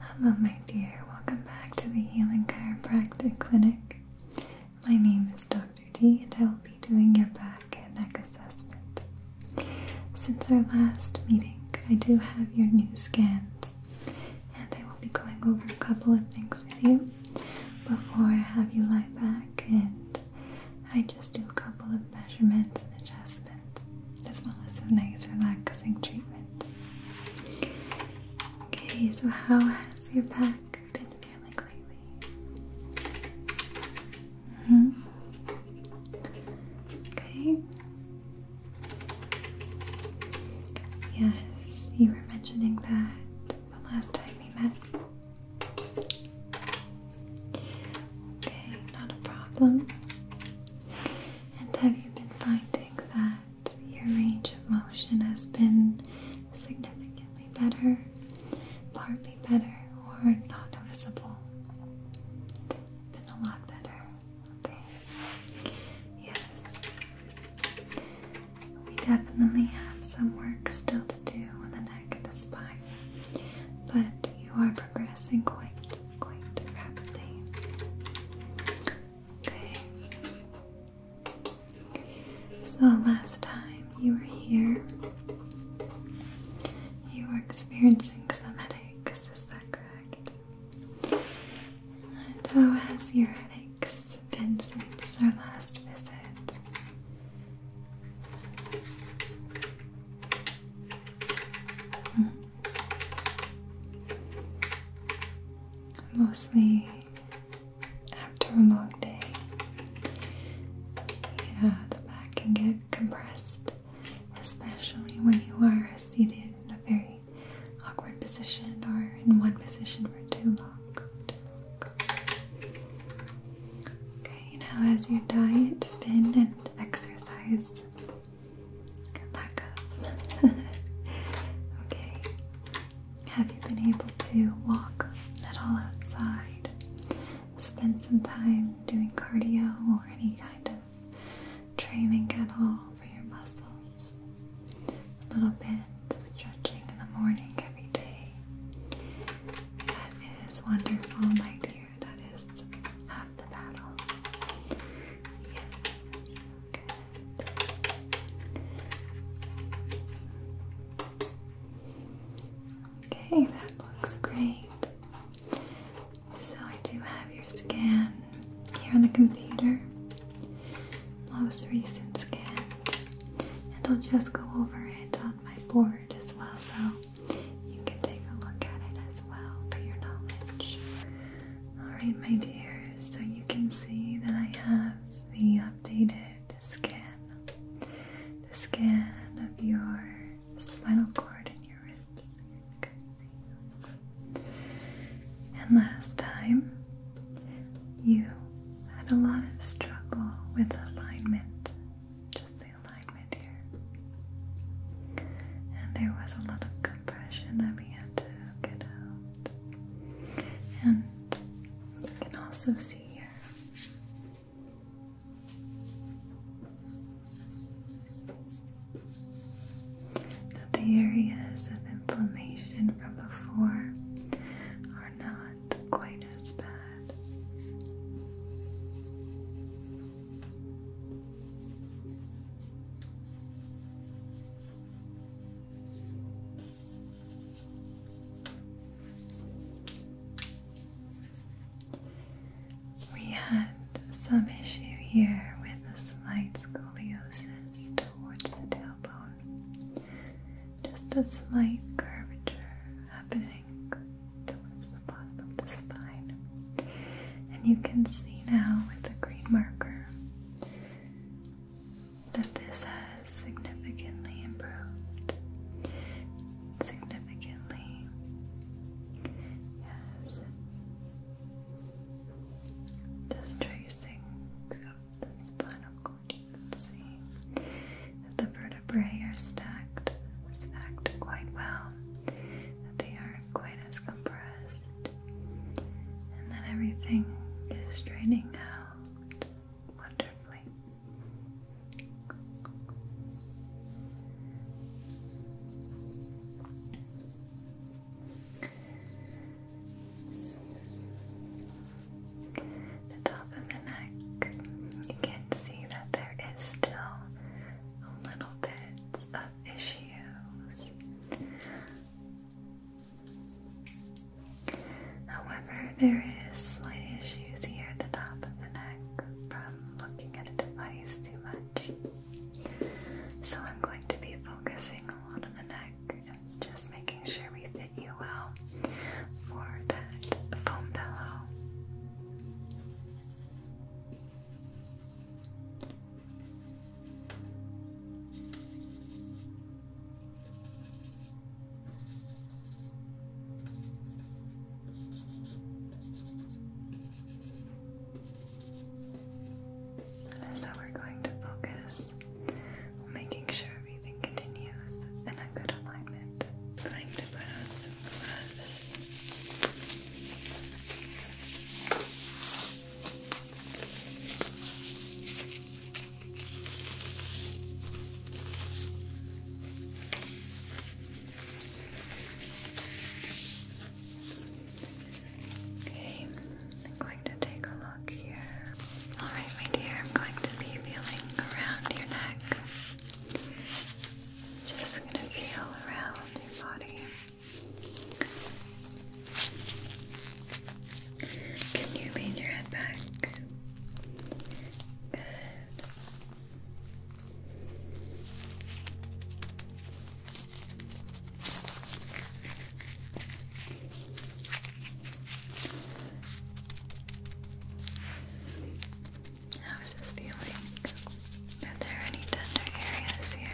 Hello, my dear. Welcome back to the Healing Chiropractic Clinic. My name is Dr. D, and I will be doing your back and neck assessment. Since our last meeting, I do have your new scans and I will be going over a couple of things with you before I have you lie back and I just do a couple of measurements and adjustments as well as some nice relaxing treatments. Okay, so how has your back been feeling lately? -hmm. Okay, Yes, you were mentioning that the last time we met. Okay, not a problem. And have you been finding that your range of motion has been significantly better, partly better, or not noticeable? Been a lot better. Okay. Yes. We definitely have some work still to do on the neck and the spine, but you are progressing quite, quite rapidly. Okay. So, last time you were here, you were experiencing some headaches, is that correct? And how oh, has your headaches been since our last visit? Hmm. Mostly after a long day. Yeah, the back can get compressed especially when you are seated in a very awkward position or in one position for too long. Okay, now as your diet, been and exercise lack of. okay. Have you been able to walk at all outside? Spend some time doing cardio or any kind of training at all for your muscles. A little bit stretching in the morning every day. That is wonderful, my dear. That is half the battle. Yes, good. Okay, that looks great. So I do have your scan here on the computer. Most recent scans. And I'll just go over it on my board as well so you can take a look at it as well for your knowledge. Alright my dear, so you can see that I have the updated scan. The scan of your spinal cord and your ribs. And last time, you had a lot of struggle with alignment, just the alignment here. And there was a lot of compression that we had to get out. And you can also see here that the areas of inflammation from before are not quite as bad we had some issue here with a slight scoliosis towards the tailbone. Just a slight curvature happening towards the bottom of the spine. And you can see now with the green marker that this has significantly improved. Significantly. Yes. Just tracing throughout the spinal cord, you can see that the vertebrae are stacked, stacked quite well, that they are quite as compressed, and that everything is draining out wonderfully. The top of the neck, you can see that there is still a little bit of issues. However, there is slight issues here at the top of the neck from looking at a device too much. So I'm going to be focusing a lot on the neck and just making sure we fit you well for that foam pillow. So we're going to focus on making sure everything continues in a good alignment. I'm going to put on some gloves. Okay, I'm going to take a look here. Alright, my dear, I'm going to be feeling around your neck. Just going to feel around your body. Can you lean your head back? Good. How is this feeling? Are there any tender areas here?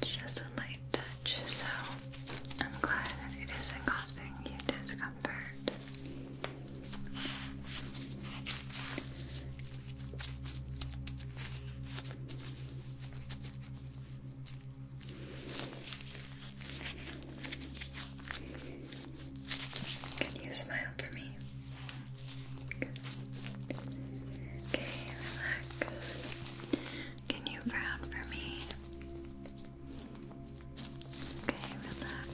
It's just a light touch, so I'm glad it isn't causing you discomfort. Can you smile for me? Okay, relax. Can you frown for me? Okay, relax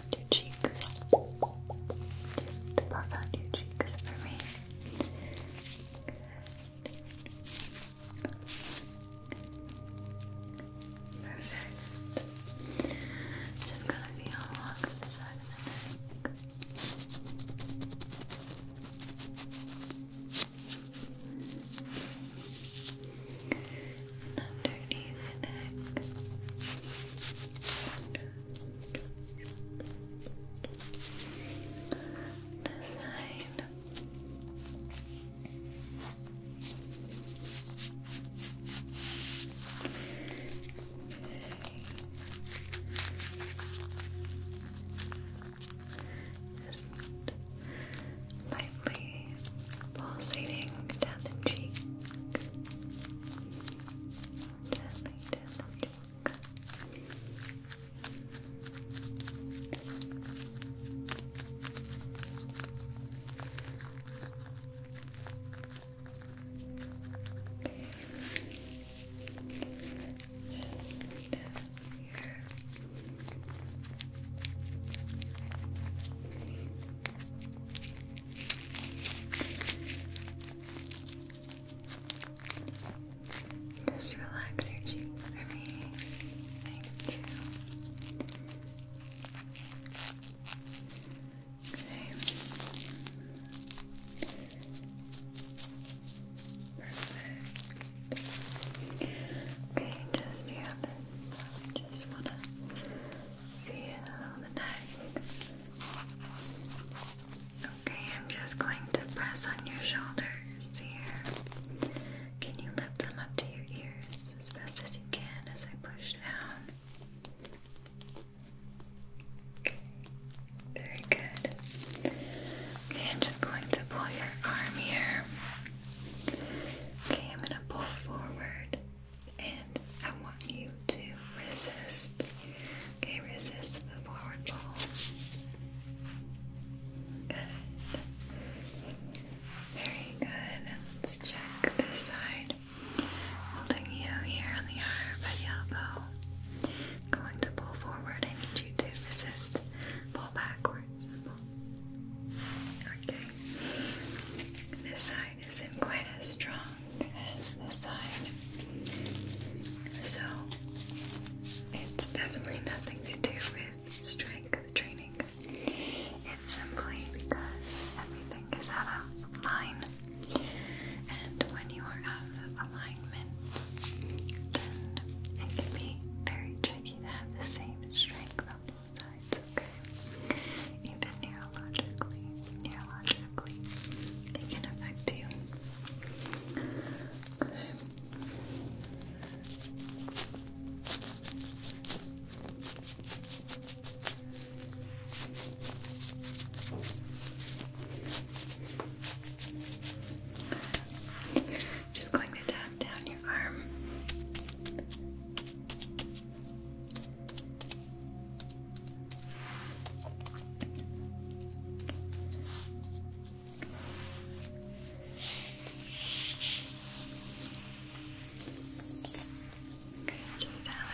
out your cheeks. Just puff out your cheeks for me. Perfect. Just gonna feel along the side of the neck underneath the neck. The side. Just lightly pulsating down the cheek. Gently cheek. Just here. Just relax your cheeks for me. Thank you. Okay. Perfect. Okay, just the other. Just want Feel the neck. Okay, I'm just going to press on your shoulders here. Can you lift them up to your ears as best as you can as I push down? Okay, very good. Okay, I'm just going to pull your arm here. Okay, I'm going to pull forward and I want you to resist. Okay, resist the forward ball. Good. Very good. Let's check this side. Holding you here on the arm by the elbow. Going to pull forward. I need you to resist. Pull backwards. Okay. This side side isn't quite as strong as the side. So it's definitely nothing to do with strength training. It's simply because everything is out of line. And when you are out of alignment, it can be very tricky to have the same strength on both sides it's Even neurologically, neurologically, it can affect you. Just going to tap down your arm. Down the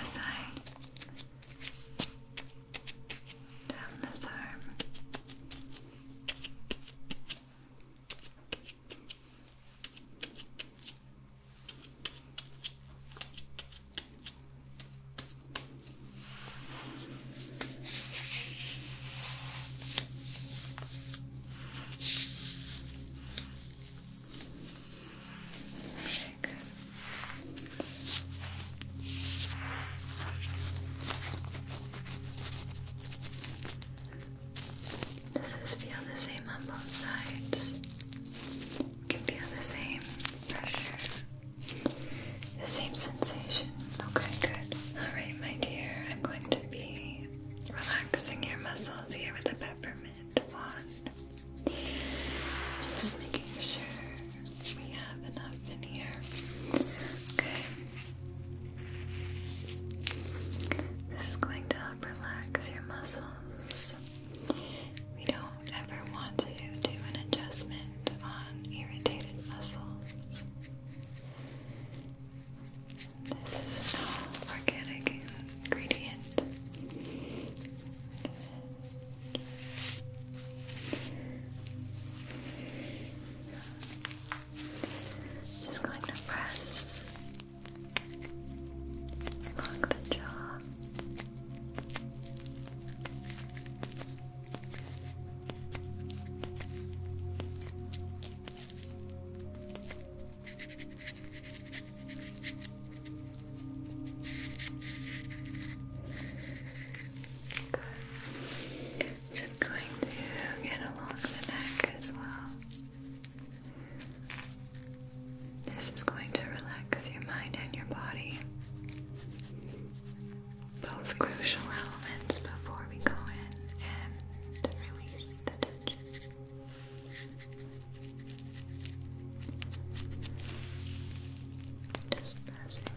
side, down this arm. Does this feel the same on both sides? You can feel the same pressure, the same sensation. Okay, good. Alright, my dear, I'm going to be relaxing your muscles here with a peppermint wand. Just making sure we have enough in here. Okay. This is going to help relax your muscles. We don't ever want to do an adjustment on irritated muscles. This is an all organic ingredient. Just going to press along the jaw. Just going to get along the neck as well. This is going to relax your mind and your body. Both crucial elements before we go in and release the tension. Just passing down.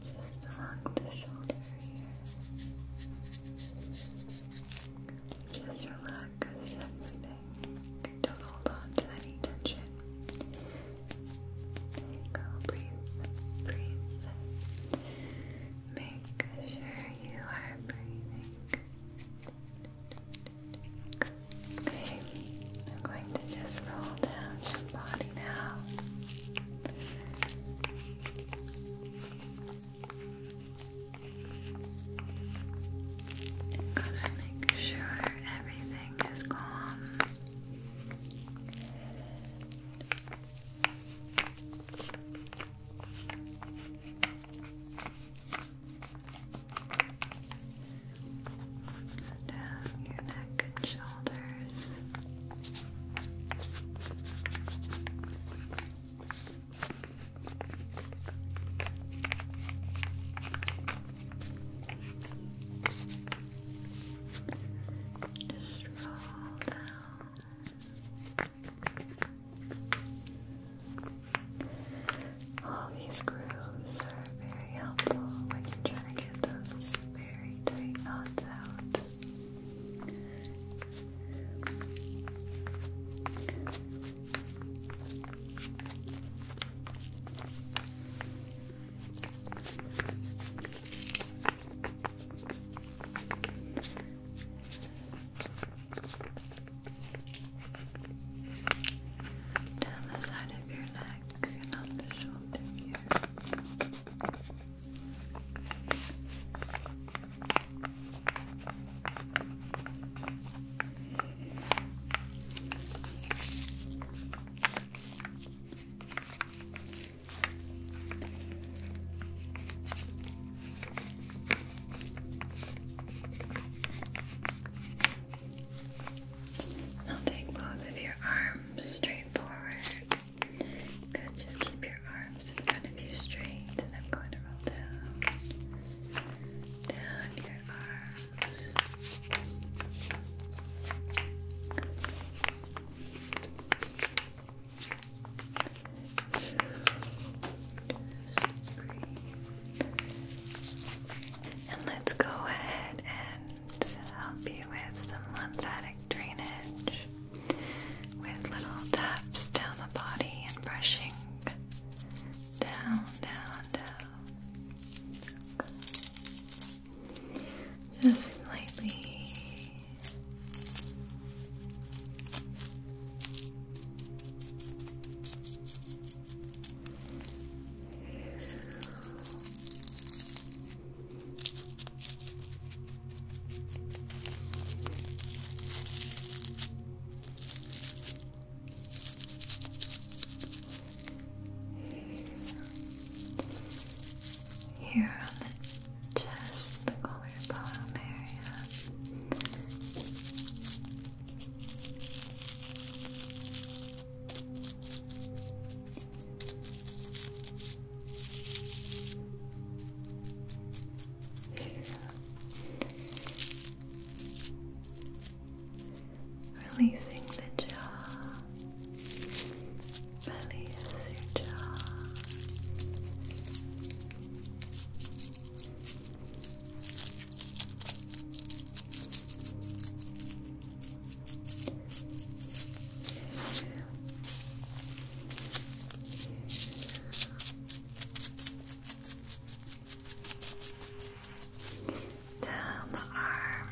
Just along the shoulder here. Just relax everything. Don't hold on to any tension. Breathe. Breathe. Make sure you are breathing. Okay, I'm going to just roll down your body now. Gotta make sure everything is calm. Down your neck and shoulders. Just roll down. All these grooves are very helpful when you're trying to get those very tight knots out. Down the side of your neck and on the shoulder here. I'll take both of your arms straight forward. Good, just keep your arms in front of you straight, and I'm going to roll down, down your arms. And let's go ahead and help you with some lymphatic drainage with little taps down the body and brushing down, down, down. Just slightly. Here on the chest, the collarbone area. Releasing the jaw. Release your jaw. Down the arm.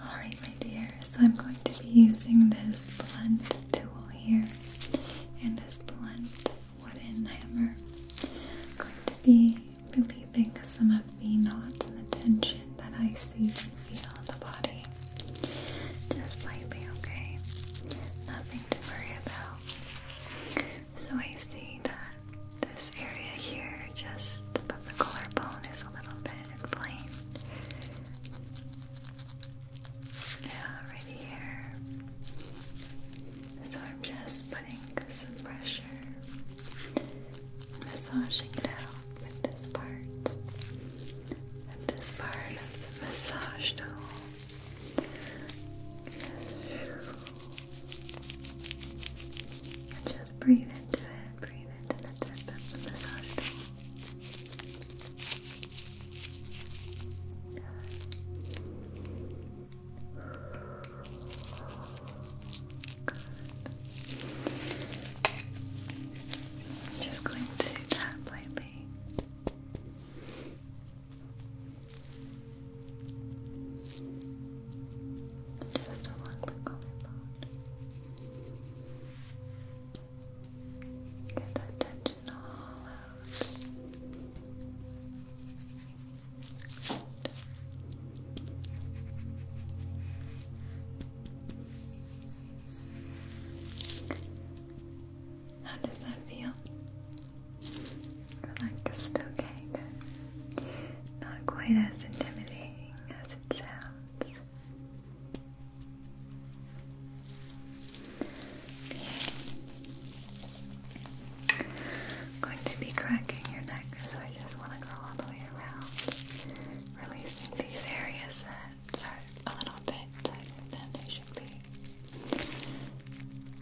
Alright, my dear, so I'm going to be using this blunt tool here and this blunt wooden hammer. going to be relieving some of the knots and the tension that I see and feel in the body. Just lightly, okay? Nothing to worry about. So I see that this area here, just the collarbone, is a little bit inflamed. Yeah, right here. So I'm just putting some pressure, massaging it out with this part, this part of the massage tool just breathe into it, breathe into the tip of the massage tool. I'm just going to tap lightly just along the collarbone. Get that tension all out. How does that feel? Relaxed, okay, Not quite as intimidating as it sounds. I'm going to be cracking your neck, so I just want to go all the way around, releasing these areas that are a little bit tighter than they should be.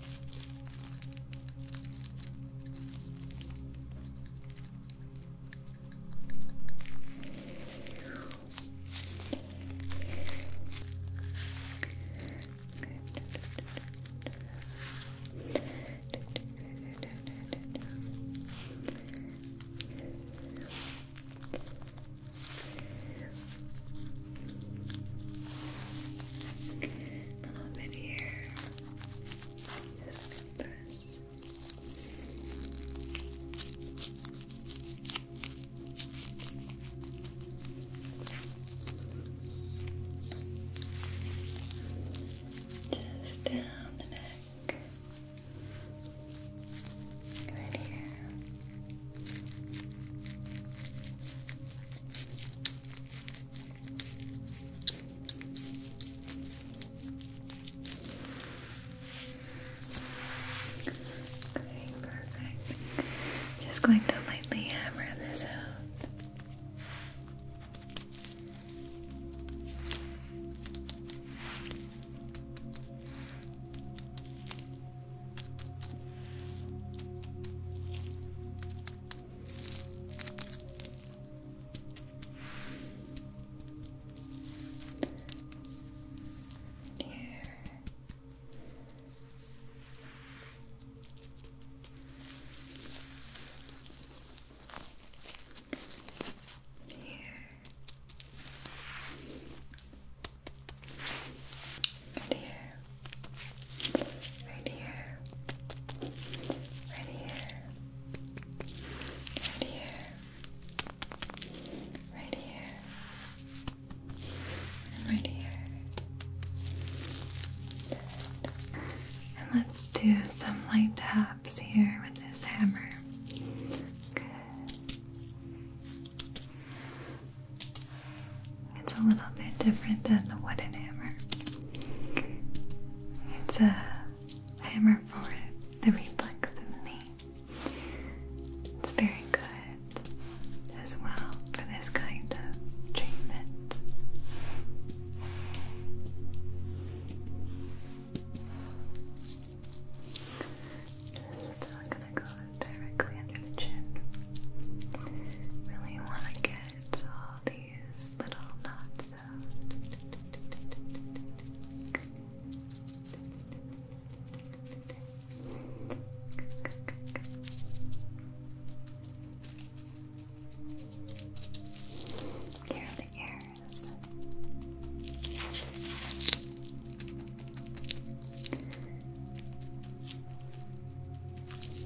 A little bit here. Just press. Just down the neck. Right here. Okay, perfect. Just going to lightly hammer this out. Here. Here. Right here right here, right here, right here, right here, right here. And let's do some light taps here with this hammer. Good. It's a little bit different than the wooden hammer. It's a hammer for the reflex in the knee. It's very good as well for this kind of treatment. Just I'm gonna go directly under the chin. Really want to get all these little knots Here the ears. Perfect.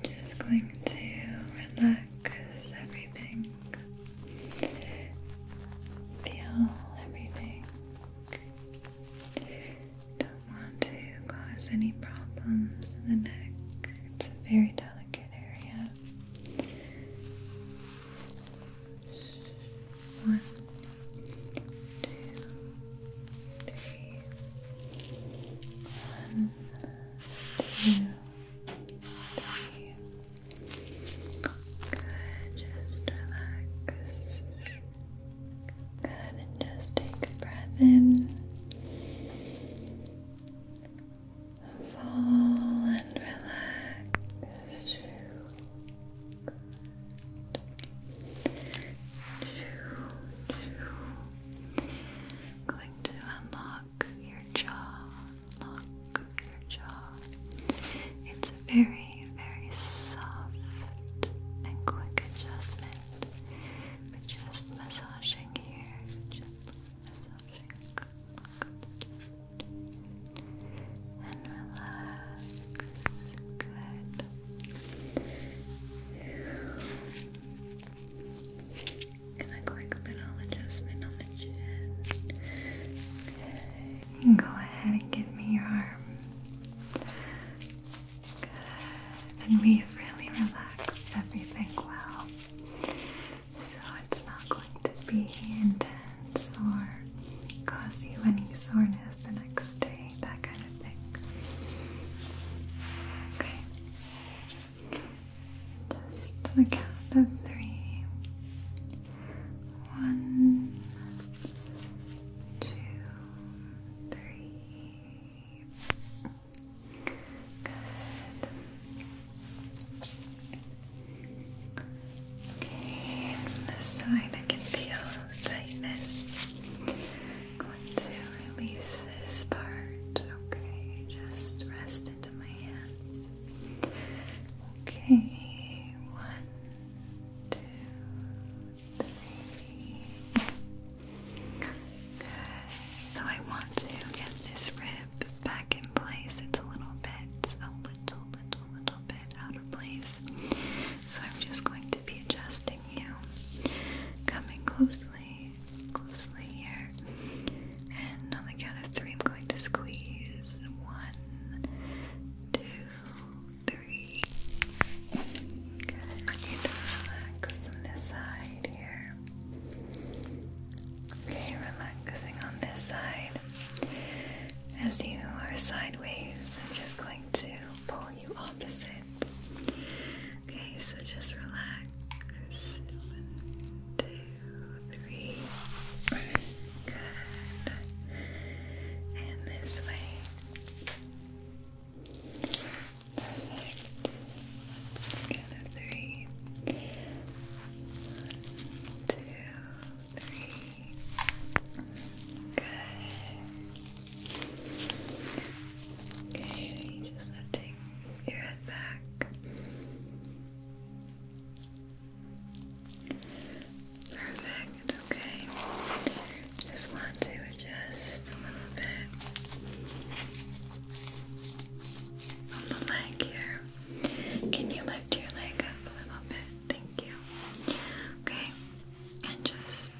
Good. Just going to relax everything Feel everything. Don't want to cause any problems in the neck. It's a very delicate area. One, two, three. One, Good, just relax. Good, and just take a breath in. Fall and relax. Good. Going to unlock your jaw look your jaw. It's a very, very soft and quick adjustment. But just massaging here, gently massaging. And relax. Good. Can I quick little adjustment on the chin? Okay. Go ahead and give me your arm. And we've really relaxed everything well. So it's not going to be intense or cause you any soreness the next day, that kind of thing. Okay. Just on the count of three. One, two, three. Good. Okay, this side I can feel tightness. going to release this part. Okay, just rest into my hands. Okay, one, two, three. Good. So I want to get this rib back in place. It's a little bit, a little, little, little bit out of place. So I'm just going to be adjusting you. Coming closely, closely here. And on the count of three, I'm going to squeeze. One, two, three. I need to relax on this side here. Okay, relaxing on this side. As you are sideways, I'm just going to pull you opposite. Okay, so just relax. One, two, three. Good. And this way. Perfect. Again, three. One, two, three. Good. Okay, you just have take your head back. Perfect, okay. Just want to adjust a little bit on the leg here. Can you lift your leg up a little bit? Thank you. Okay, and just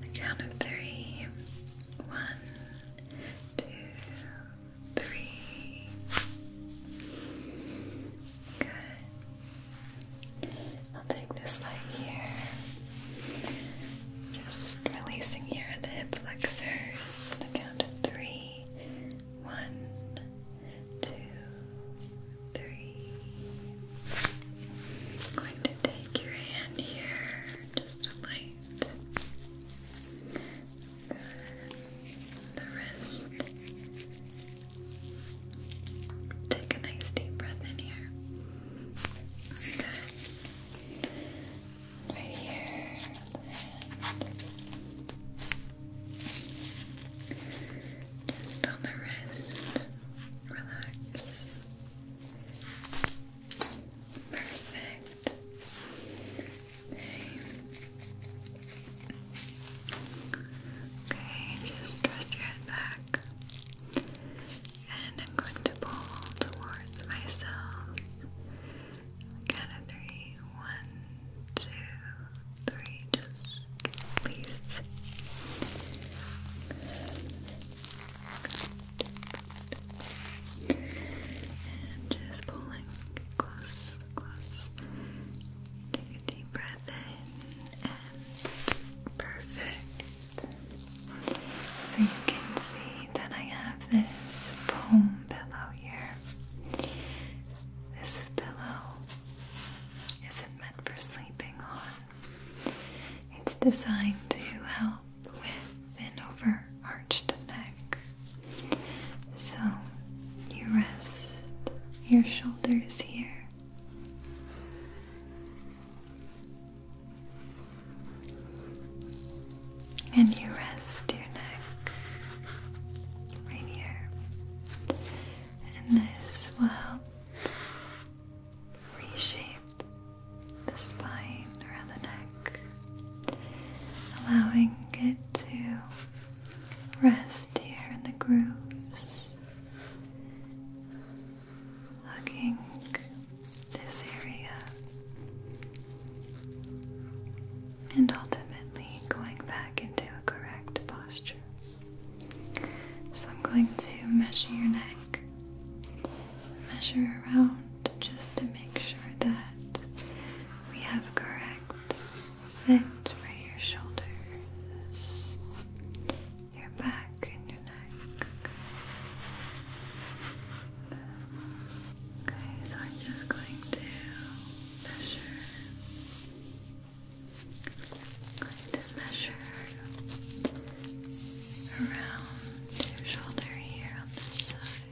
the count of three three. Good. I'll take this leg here. Just releasing here the hip flexors. The count of three. going to take your hand here, just a light the wrist. Take a nice deep breath in here. Right here. Just on the wrist. Relax. Perfect. Okay, just twist your head back. And I'm going to pull towards myself. Count of three. One, Just release. And just pulling close perfect. So you can see that I have this foam pillow here. This pillow isn't meant for sleeping on. It's designed to help with an overarched neck. So you rest your shoulders here. And you rest your neck right here. And this will help reshape the spine around the neck, allowing it to Rest here in the grooves, hugging this area, and ultimately going back into a correct posture. So I'm going to measure your neck, measure around just to make sure that we have correct fit for your shoulders, your back, and your neck. Okay, so I'm just going to measure. going to measure around your shoulder here on this side.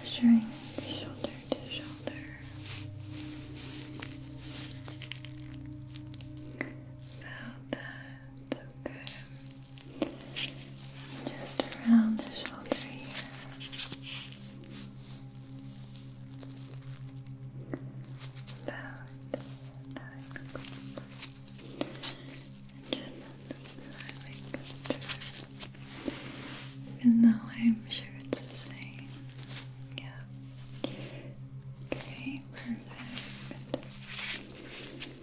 Measuring shoulder to shoulder. About that, okay just around the shoulder here. About nine o'clock. Even though I'm sure it's the same. Yeah. Okay, perfect.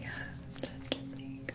Yeah, that should be good.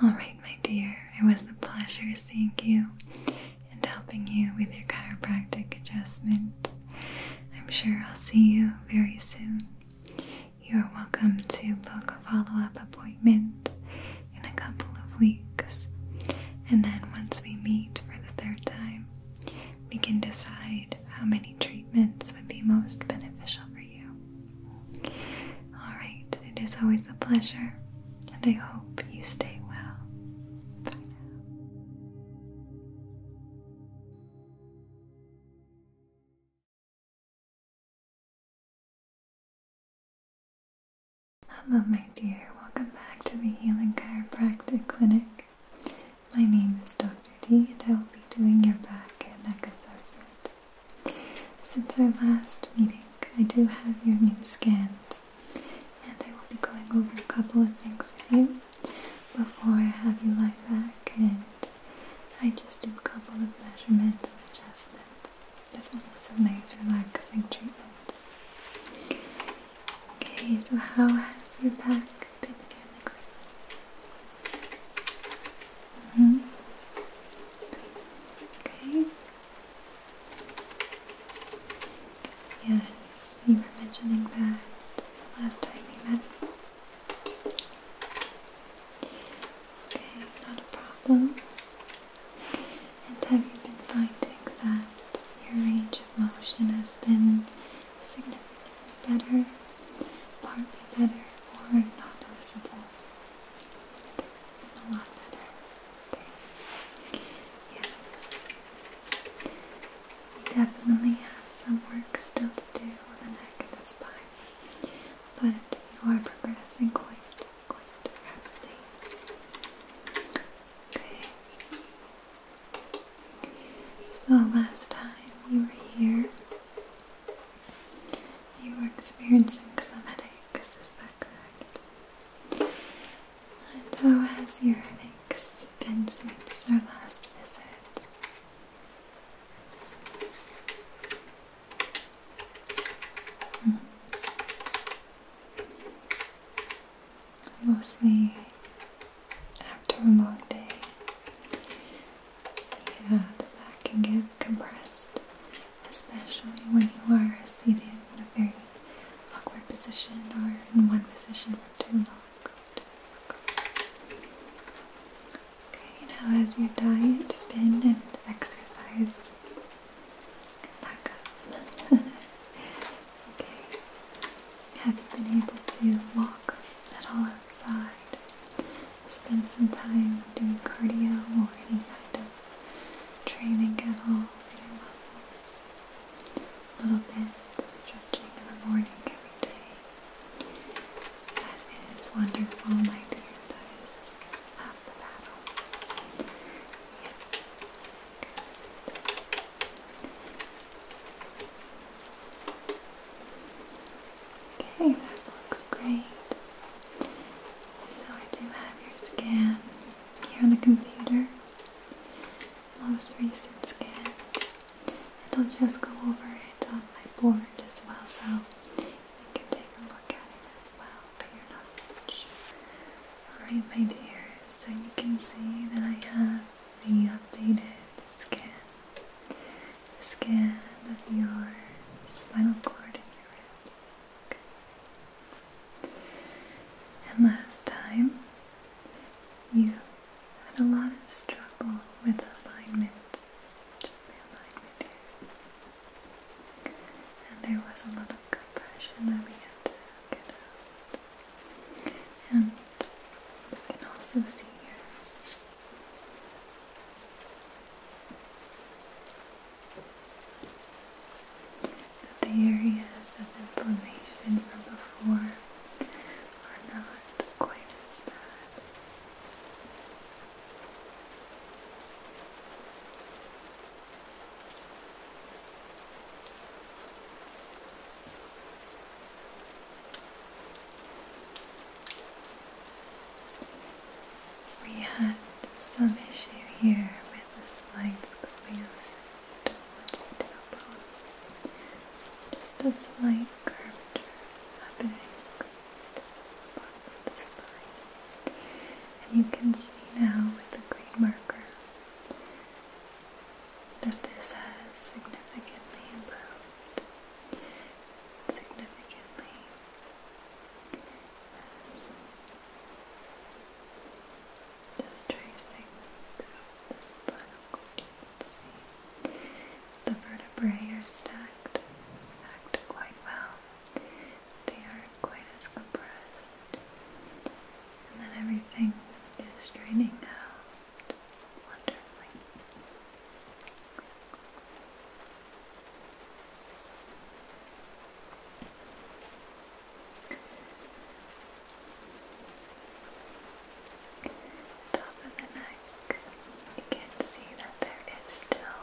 All right, my dear, it was a pleasure seeing you and helping you with your chiropractic adjustment. I'm sure I'll see you very soon. You are welcome to book a follow up appointment in a couple of weeks. And then once we meet for the third time, we can decide how many treatments would be most beneficial for you. Alright, it is always a pleasure, and I hope you stay well. Bye now. Hello, my dear. Welcome back to the Healing Chiropractic Clinic. My name is Dr. D, and I will be doing your back and neck assessment. Since our last meeting, I do have your new scans, and I will be going over a couple of things with you before I have you lie back, and I just do a couple of measurements and adjustments. This one has some nice relaxing treatment. Okay, so how has your back been feeling -hmm. Okay. Yes, you were mentioning that last time we met. Okay, not a problem. And have you been finding that your range of motion has been significantly better, partly better, or not noticeable? a lot better. Okay. Yes. We definitely have some work still to do on the neck and the spine but you are progressing quite, quite rapidly. Okay. So last time you were here, you were experiencing some headaches, is that correct? And how has your headaches been since our last visit? Mostly after a long day, yeah, the back can get compressed, especially when you are seated in a very awkward position or in one position for Too long. Okay, now has your diet been and exercise okay. Have you been able to walk at all outside? Spend some time doing cardio or any kind of training at all for your muscles? A little bit stretching in the morning every day. That is wonderful, my dear. That is Okay, that looks great. So I do have your scan here on the computer. Most recent scan. I'll just go over it on my board as well so you can take a look at it as well, but you're not sure. Alright, my dear, so you can see that I have the updated scan. The scan of your spinal cord and your ribs. And last time, you had a lot of struggle with alignment, and there was a lot of compression that we had to get out. And you can also see here that the areas of inflammation from before are not quite as bad. We had some issue here with a slight scoliosis towards the tailbone. Just a slight curvature happening the And you can see now with the green marker that this has significantly improved. Significantly just tracing throughout the spinal cord, see the vertebrae are stacked, stacked quite well they aren't quite as compressed. And then everything is draining out wonderfully. Top of the neck, you can see that there is still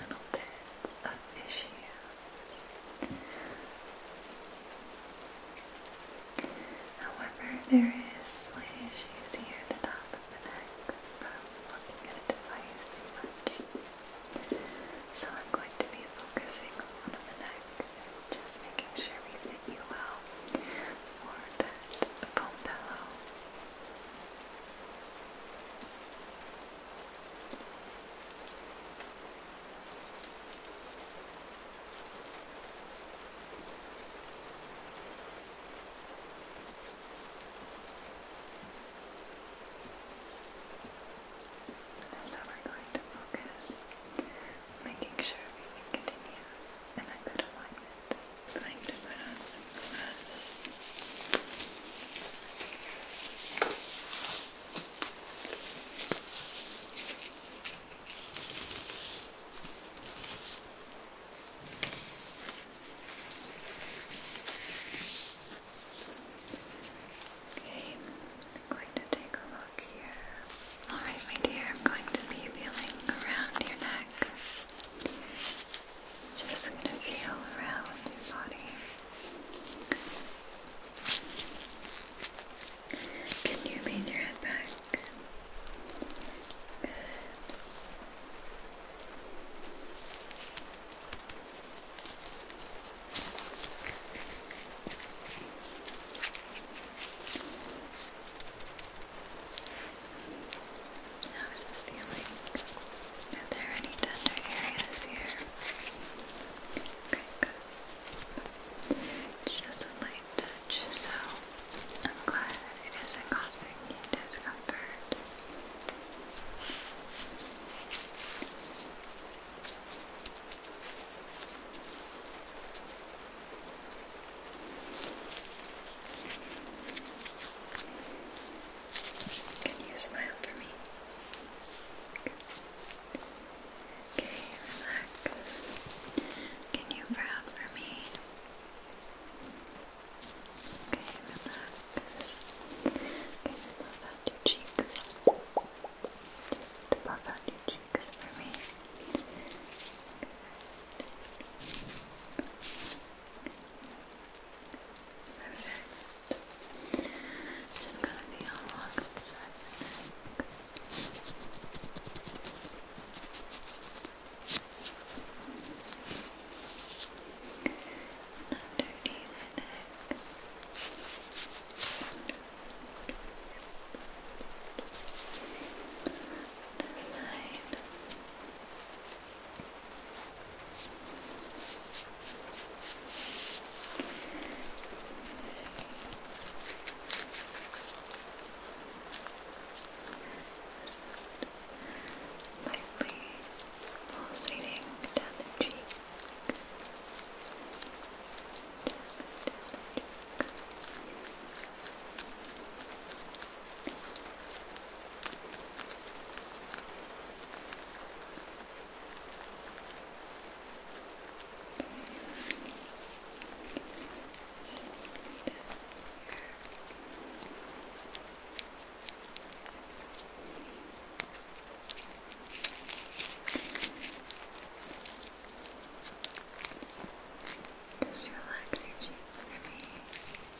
little bits of issues. However, there is slight issues here at the top of the neck from looking at a device too much. So I'm going to be focusing on the neck and just making sure we fit you well for that foam pillow. So we're going to focus making sure everything continues in a good alignment going to put on some gloves. Okay, I'm going to take a look here. Alright, my dear, I'm going to be feeling around your neck. Just going to feel around your body. Can you lean your head back? Good. How is this feeling? Are there any tender areas here? It's just a light touch, so I'm glad it isn't causing you discomfort. Can you smile for me? Okay, relax. Can you frown for me? Okay, relax. Can you puff out your cheeks? Just puff out your cheeks for me. Perfect. Just gonna be on the side underneath the This side. Lightly pulsating down the cheek. Down, down the cheek. Just relax your cheeks for me.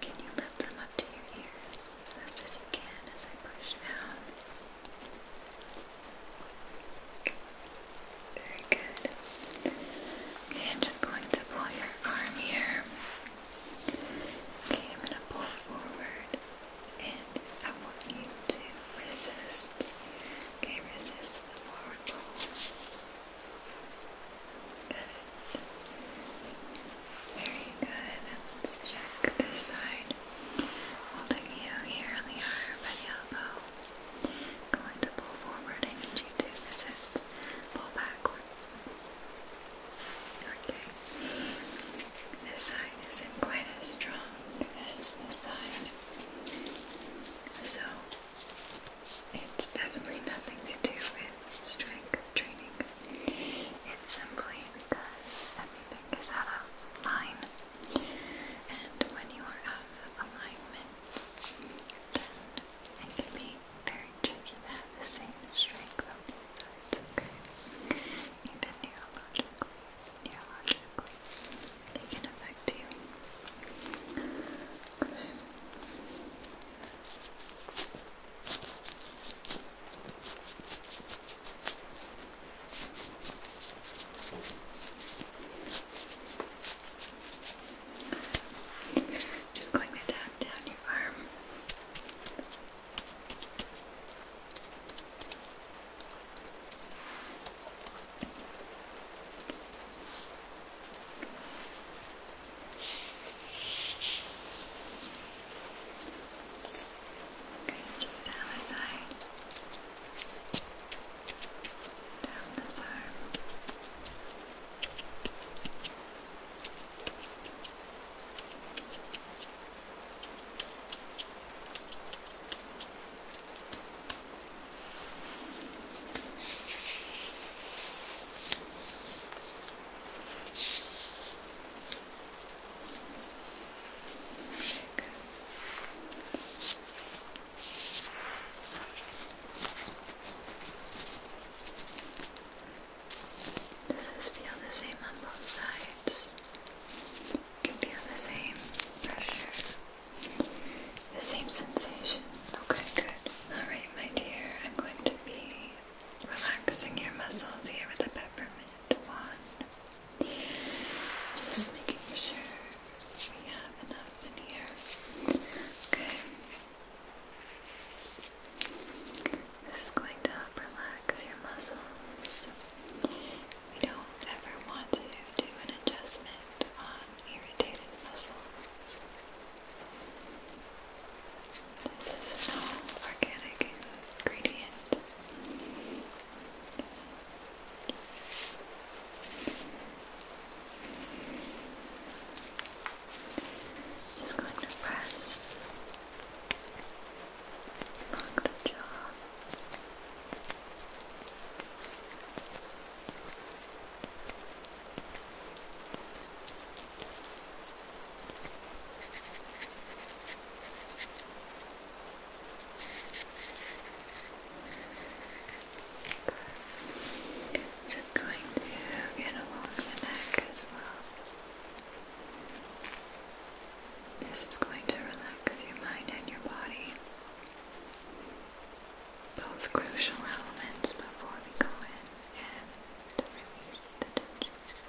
Can you lift them up to your ears as fast as you can as I push down? Very good. Okay, I'm just going to pull your arm here. Okay, I'm going to pull forward and I want you to resist. Okay, resist the forward pull. Good. Very good. Let's check this side. Holding you here on the arm and elbow. Going to pull forward. I need you to resist. Pull backward. Okay. This side isn't quite as strong as this side. So it's definitely nothing to do with strength training. It's simply because everything is out of line. And when you are out of alignment, it can be very tricky to have the same strength on both sides, Even neurologically, neurologically, they can affect you. Just going to tap down your arm. Okay. Great, keep that aside. Down this arm. Does this feel the same on both sides? can feel the same pressure, the same sensation. Okay, good. Alright, my dear, I'm going to be relaxing your muscles here with the peppermint wand. Just making sure we have enough in here. Okay. This is going to help relax your muscles. We don't ever want to do an adjustment on irritated muscles. This is an organic ingredient. Just going to press along the jaw. Just going to get along the neck as well. This is going to relax your mind and your body. Both crucial elements before we go in and release the tension.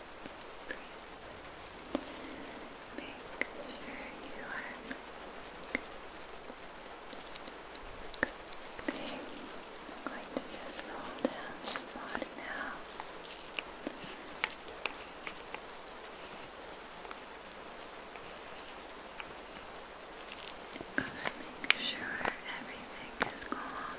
you are Okay, I'm going to just roll down body now. make sure everything is calm.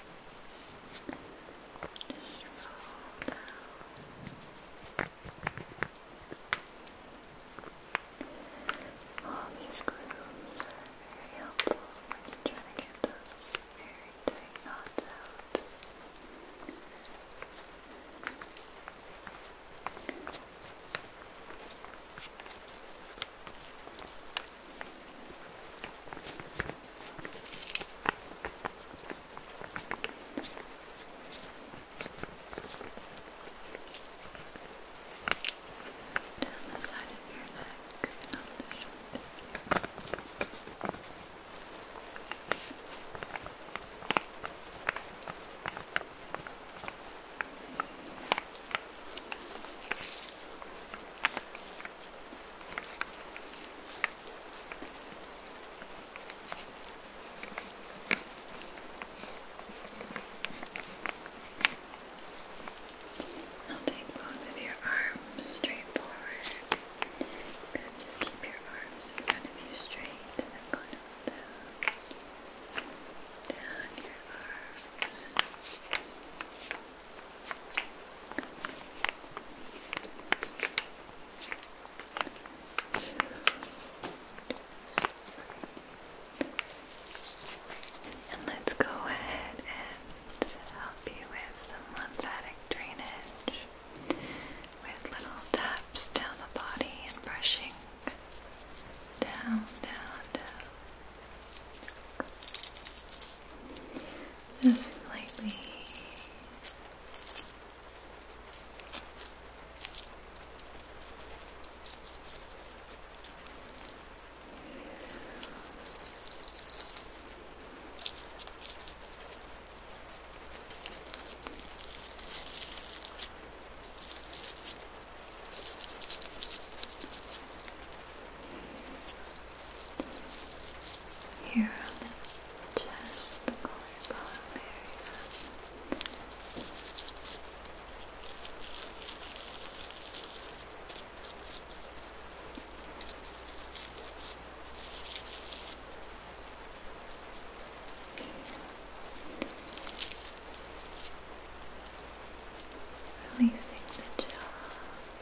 Just All these grooves are very helpful when you trying to get those very tight knots out. Down the side of your neck, not the shoulder. Down now take both of your arms straight forward. just keep your arms in front of you straight and down, down your arms. And let's go ahead and help you with some lymphatic drainage with little taps down the body and brushing down, down, down just slightly. Here on the chest, the collarbone area. Releasing the jaw.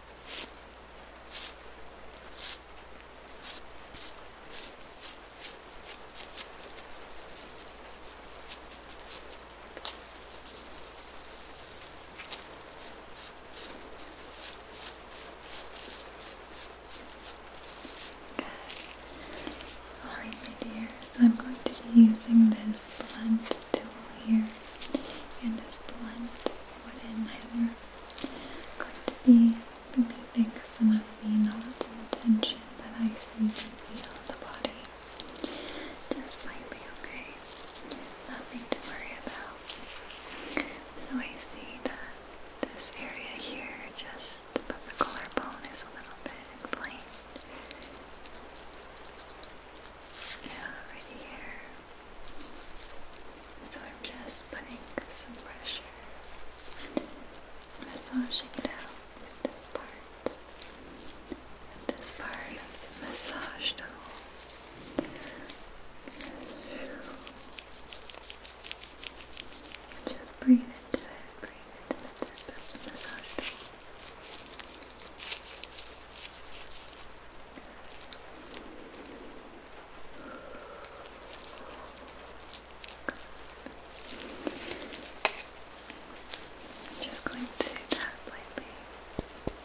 Alright my dears, I'm going to be using this blunt tool here and this blunt wooden hammer. Going to be relieving some of the knots and tension that I see and feel on the body. Just might be okay? Nothing to worry about. So I see that this area here, just above the collarbone, is a little bit inflamed. Yeah, right here. So I'm just putting some pressure, massaging it out with this part. And this part is massaged out. Just breathe into it, breathe into the tip, massage it. I'm just going to tap lightly. Just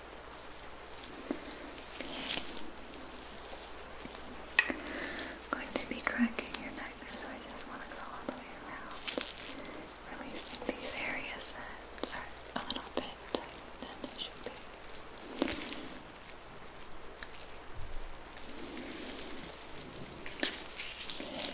going to be cracking your neck, so I just want to go all the way around, releasing these areas that are a little bit tighter than they should be. Here.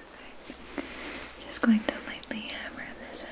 Perfect. Just going to lightly hammer this out. Here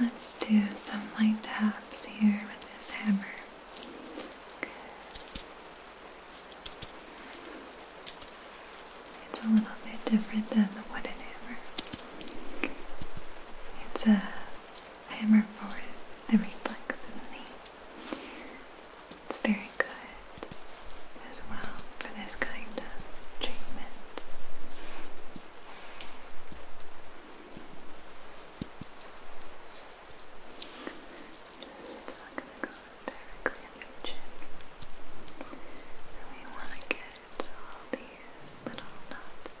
let's do some light taps here with this hammer. It's a little bit different than the wooden hammer. It's a hammer for the reflex It's very good as well for this kind of treatment. Just going to go directly on chin. And we want to get all these little knots out.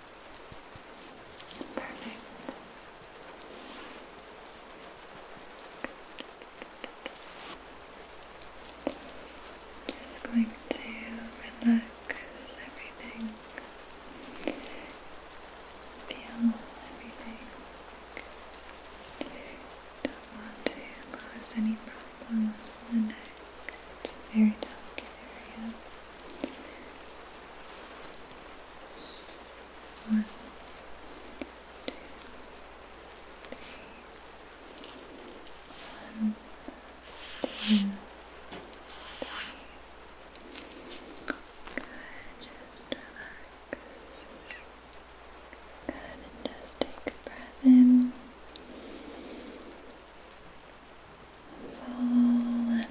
Perfect. Just going to relax everything, feel everything. Don't want to cause any problems in the neck. It's a very delicate area. One, two, three. Good, just relax. Good, just take a breath in fall and relax.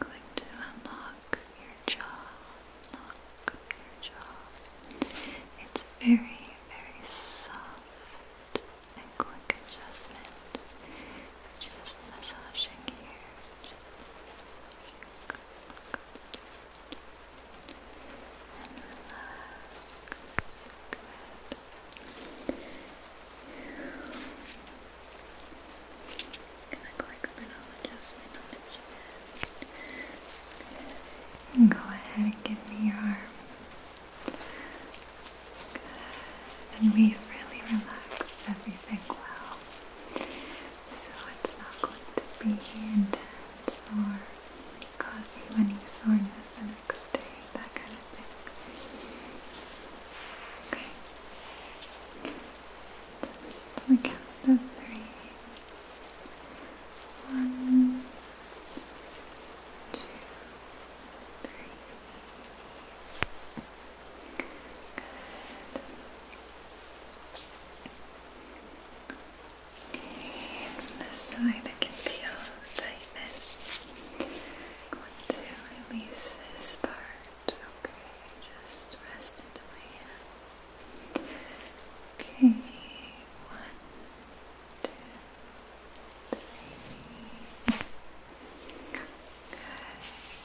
Going to unlock your jaw, unlock your jaw. It's very, very soft quick adjustment. Just massaging here, Gonna quick little adjustment on the chin. Go ahead and give me your arm. Good. And we've really relaxed everything well so it's not going to be intense or cause you any soreness the next day, that kind of thing. Okay. Just on count of three. One, Okay, on this side I can feel tightness. I'm going to release this part. Okay, just rest into my hands. Okay, one, two, three. Good.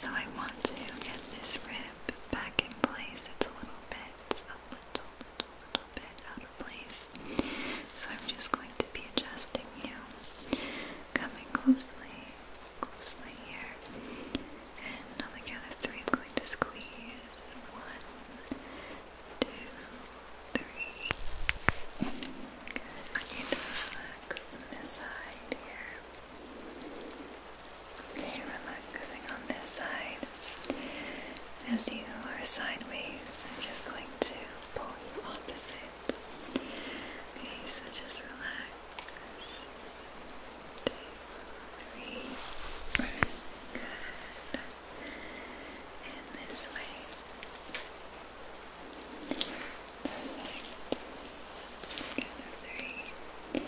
So I want to get this red back in place. It's a little bit, a little, little, little bit out of place. So I'm just going to be adjusting you, coming closely, closely here. And on the count of three, I'm going to squeeze. One, two, three. Good. I need to relax this side here. Okay, relaxing on this side. As you are sideways, I'm just going to pull you opposite. Okay, so just relax. Two, three. Good. And this way. Perfect. Good, three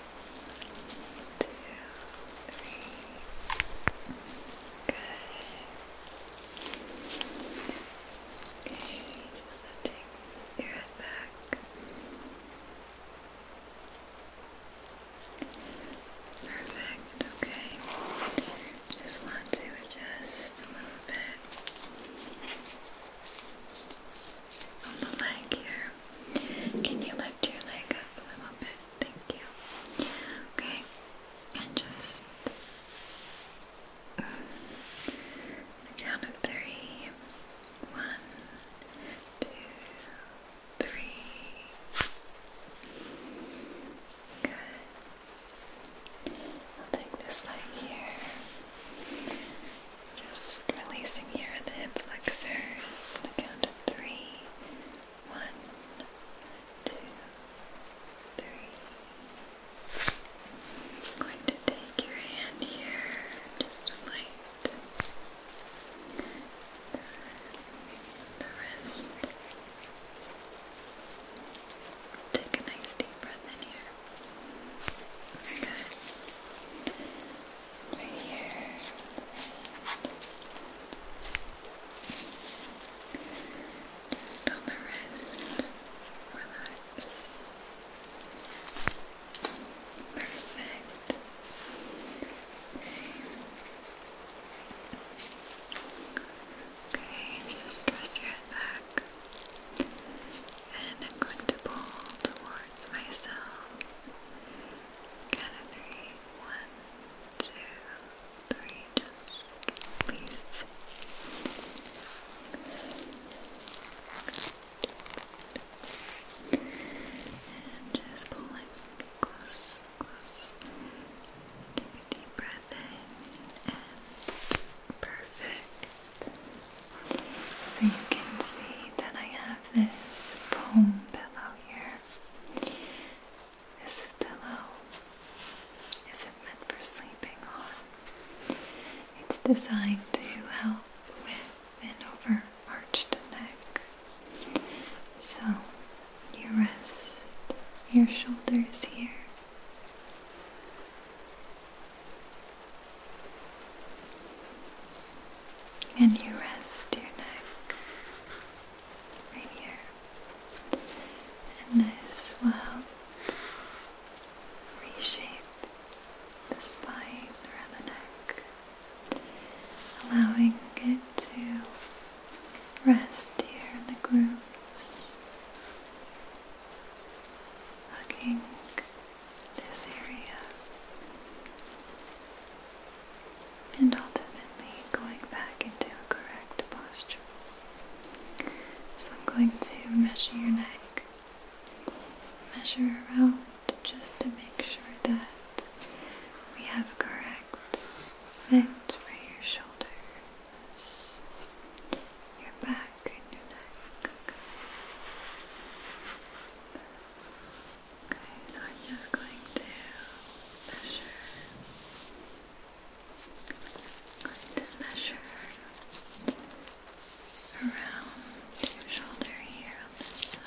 two, three. Good. Okay, just take your head back. Perfect, okay. Just want to adjust a little bit on the leg here. Can you lift your leg up a little bit? Thank you. Okay, and just count of three. One, two, three. Good. I'll take this leg here. Just releasing here the hip flexors the count of three. going to take your hand here, just light the, wrist. Take a nice deep breath in here. Good right here. Just on the wrist. Relax. Perfect. Okay, just rest your head back and I'm going to pull towards myself. Count Just release. And just pulling close, close. Take a deep breath in and perfect. So you can see that I have this foam pillow here. This pillow isn't meant for sleeping on. It's designed to help with an overarched neck. So you rest your shoulders here. And you rest your neck right here. And this will help reshape the spine around the neck, allowing it to rest here in the grooves, hugging this area and ultimately going back into a correct posture. So I'm going to measure your neck, measure around just to make sure that we have a correct fit for your shoulders, your back and your neck. Okay, so I'm just going to measure. going to measure around your shoulder here on this side.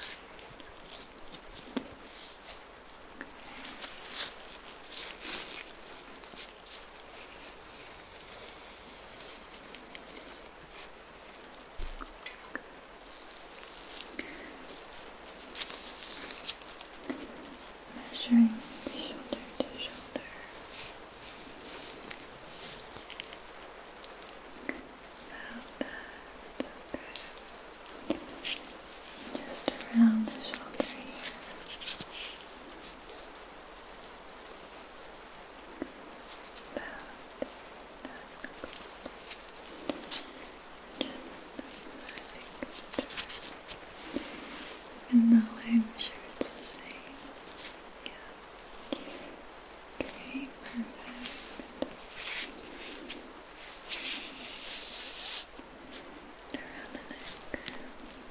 Measuring shoulder to shoulder. About Just around the shoulder here. About even though I'm sure the same. Yeah. Okay, perfect. Around the neck. Right.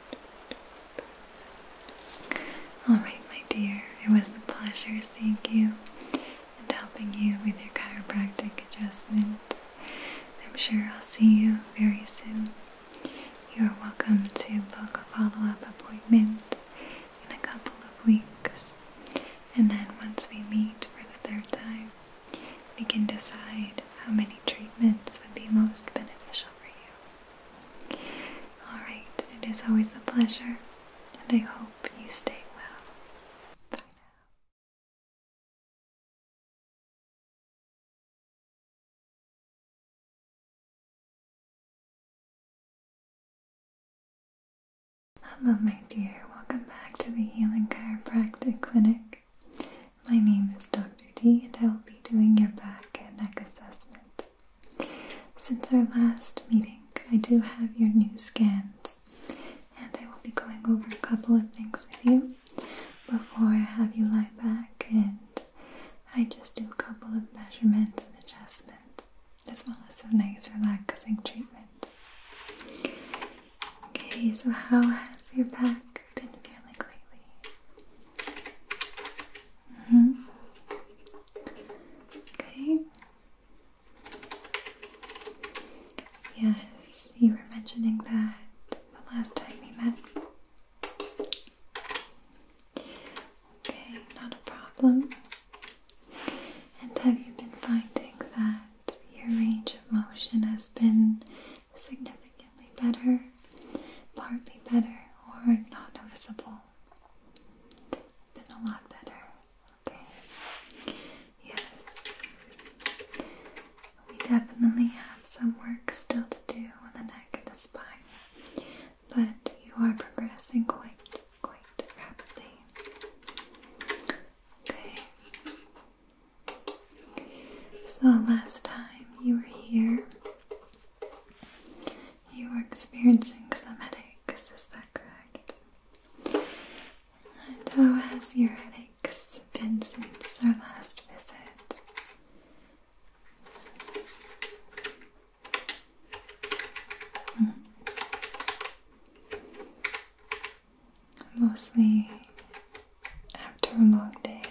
All right, my dear, it was a pleasure seeing you and helping you with your chiropractic adjustment. I'm sure I'll see you very soon. You are welcome to book a follow up appointment in a couple of weeks, and then once we meet for the third time, we can decide how many treatments would be most beneficial for you. Alright, it is always a pleasure, and I hope you stay well. Bye now. Hello, my dear. Welcome back to the Healing Chiropractic Clinic. My name is Dr. D, and I will be doing your back and neck assessment. Since our last meeting, I do have your new scans, and I will be going over a couple of things with you before I have you lie back and I just do a couple of measurements and adjustments, as well as some nice relaxing treatments. Okay, so how has your back been feeling lately? Mm-hmm. Okay. Yes, you were mentioning that the last time we met. Okay, not a problem. And have you been finding that your range of motion has been significantly better, partly better, or not noticeable. Been a lot better. Okay. Yes. We definitely have some work still to do on the neck and the spine, but you are progressing quite, quite rapidly. Okay. So, last time you were here, you were experiencing some headaches, is that correct? And how has your headaches been since our last visit? Hmm. Mostly after a long day.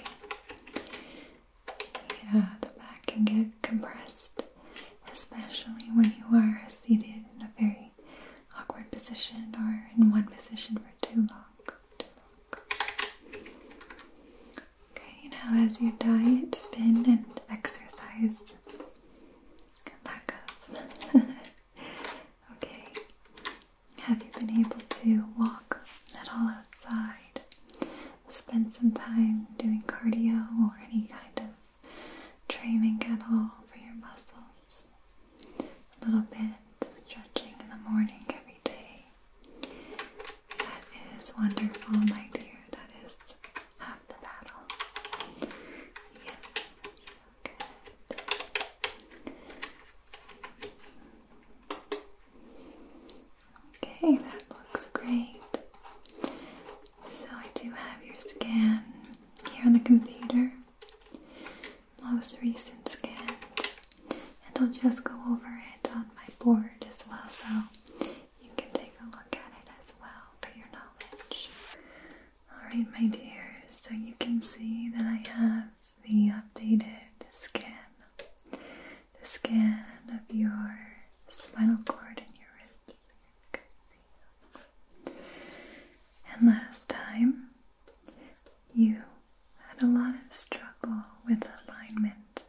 Yeah, the back can get compressed, especially when you are seated in a very awkward position or in one position for too long. Okay, now has your diet been and exercise? Lack of. okay. Have you been able to walk at all outside? Spend some time doing cardio or any kind of training at all for your muscles? A little bit stretching in the morning every day. That is wonderful, my dear. That is half the battle. Yes, so Okay, that looks great. So, I do have your scan here on the computer, most recent scans, and I'll just go over it on my board as well so you can take a look at it as well for your knowledge. Alright, my dear, so you can see that I have the updated scan the skin of your spinal cord and your ribs. And last time, you had a lot of struggle with alignment,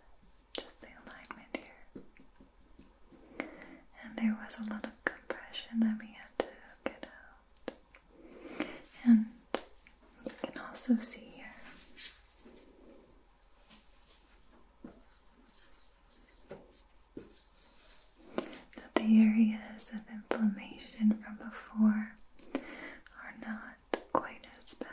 just the alignment here. And there was a lot of compression that we had to get out. And you can also see here that the areas of inflammation from before are not quite as bad.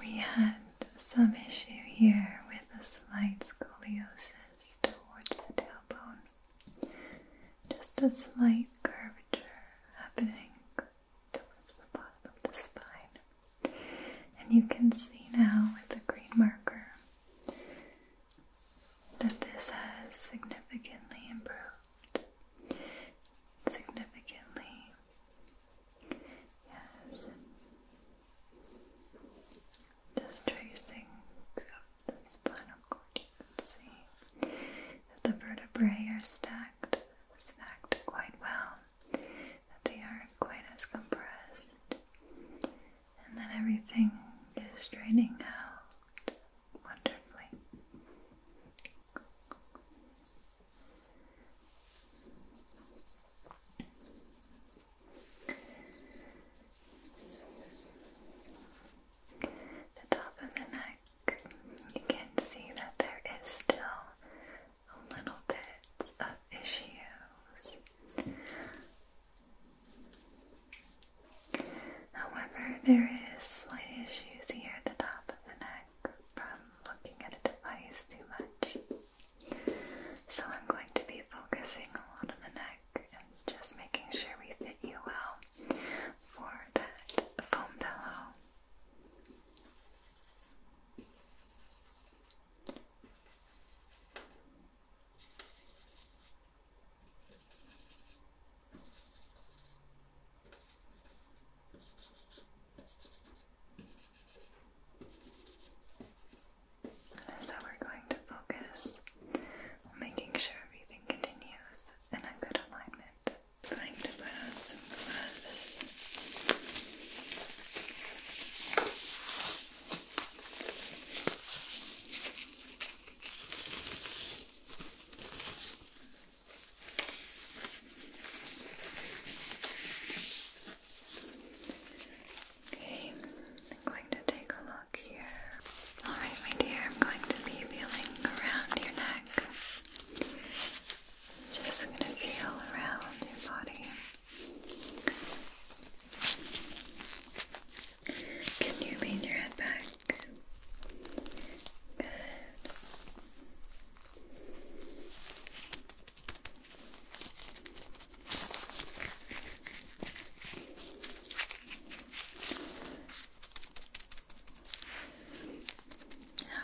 We had some issue here with a slight scoliosis towards the tailbone. Just a slight curvature happening towards the bottom of the spine. And you can see now with the green marker that this has significantly improved significantly. Yes. Just tracing throughout the spinal cord, you can see that the vertebrae are stacked, stacked quite well, that they aren't quite as compressed, and that everything is draining out wonderfully. The top of the neck, you can see that there is still a little bit of issues. However, there is slight issues here at the top of the neck from looking at a device too much. So I'm going to be focusing a lot on the neck and just making sure we fit you well for that foam pillow. So we're going to focus on making sure everything continues in a good alignment. going to put on some gloves. Okay, I'm going to take a look here. Alright, my dear, I'm going to be feeling around your neck. I'm just going to feel around your body. Can you lean your head back? How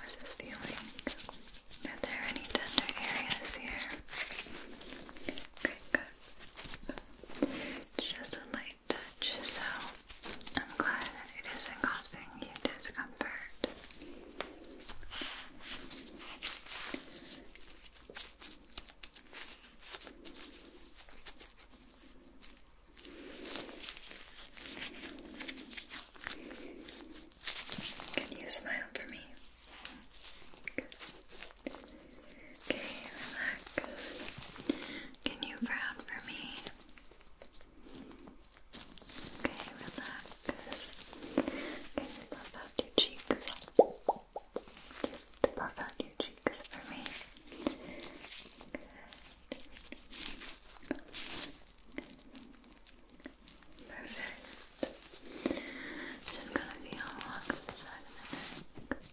is this feeling? Are there any tender areas here? Just a light touch, so I'm glad it isn't causing you discomfort. Can you smile for me? Okay, relax. Can you frown for me? Okay, relax. Okay, puff out your cheeks. Just puff out your cheeks for me. Perfect. Just gonna be all the side of the neck.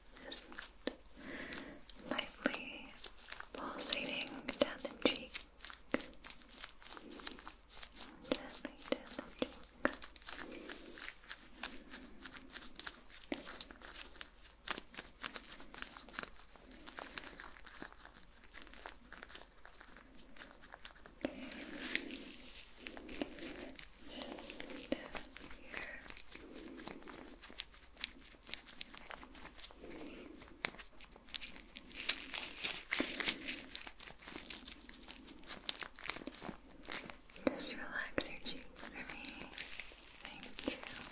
just lightly pulsating down the cheek. down the cheek. Just relax your cheeks for me. Thank you. Perfect.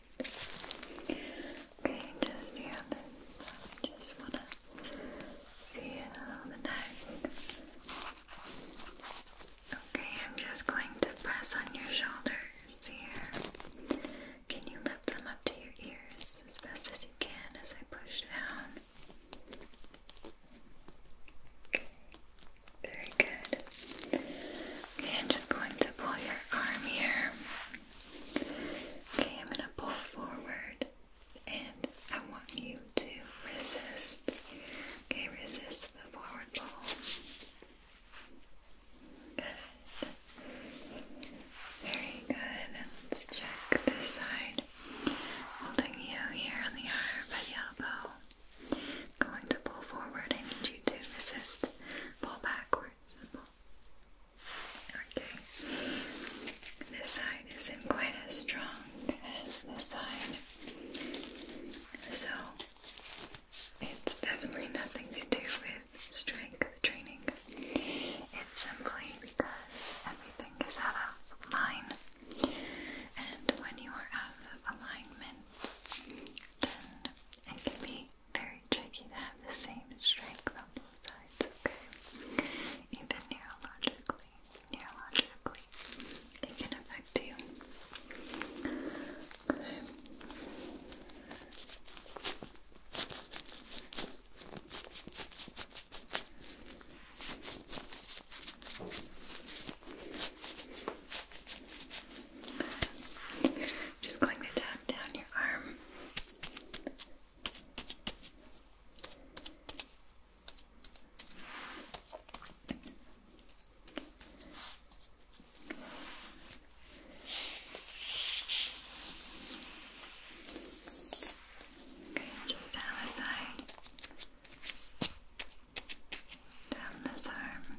Okay, just the other Just wanna feel the neck. Okay, I'm just going to press on your shoulders here. Can you lift them up to your ears as best as you can as I push down? Okay. Very good. Okay, I'm just going to pull your arm here. Okay, I'm going to pull forward and I want you to resist. Okay, resist the forward pull. Good. Very good. Let's check this side. Holding you here on the arm by the elbow i going to pull forward. I need you to resist. Pull backwards. Okay. This side isn't quite as strong as this side. So it's definitely nothing to do with strength training. It's simply because everything is out of line. And when you are out of alignment, then it can be very tricky to have the same strength on both sides, okay? Even neurologically, neurologically, they can affect you just going to tap down your arm. Okay, just down the side, down this arm,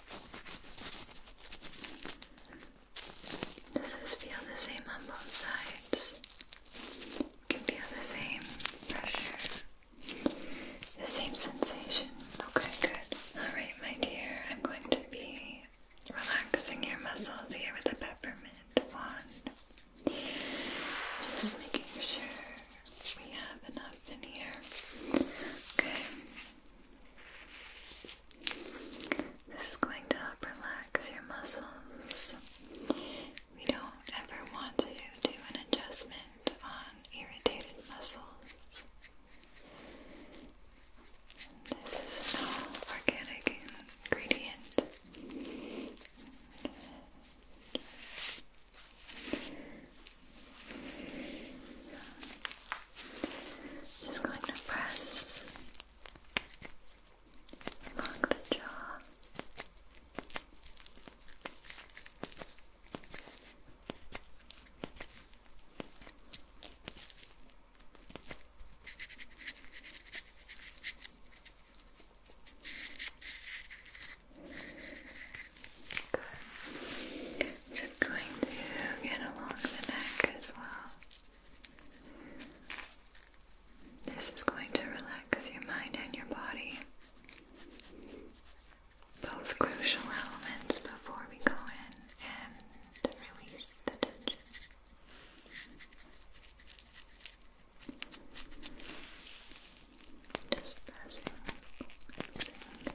Does this feel the same on both sides? feel the same pressure, the same sensation. Okay, good. Alright, my dear, I'm going to be relaxing your muscles here with a peppermint wand. Just making sure we have enough in here. Okay. This is going to help relax your muscles. We don't ever want to do an adjustment on irritated muscles. This is an all organic ingredient. Just going to press along the jaw. Just going to get along the neck as well. This is going to relax your mind and your body. Both crucial elements before we go in and release the tension. Just pressing, pressing,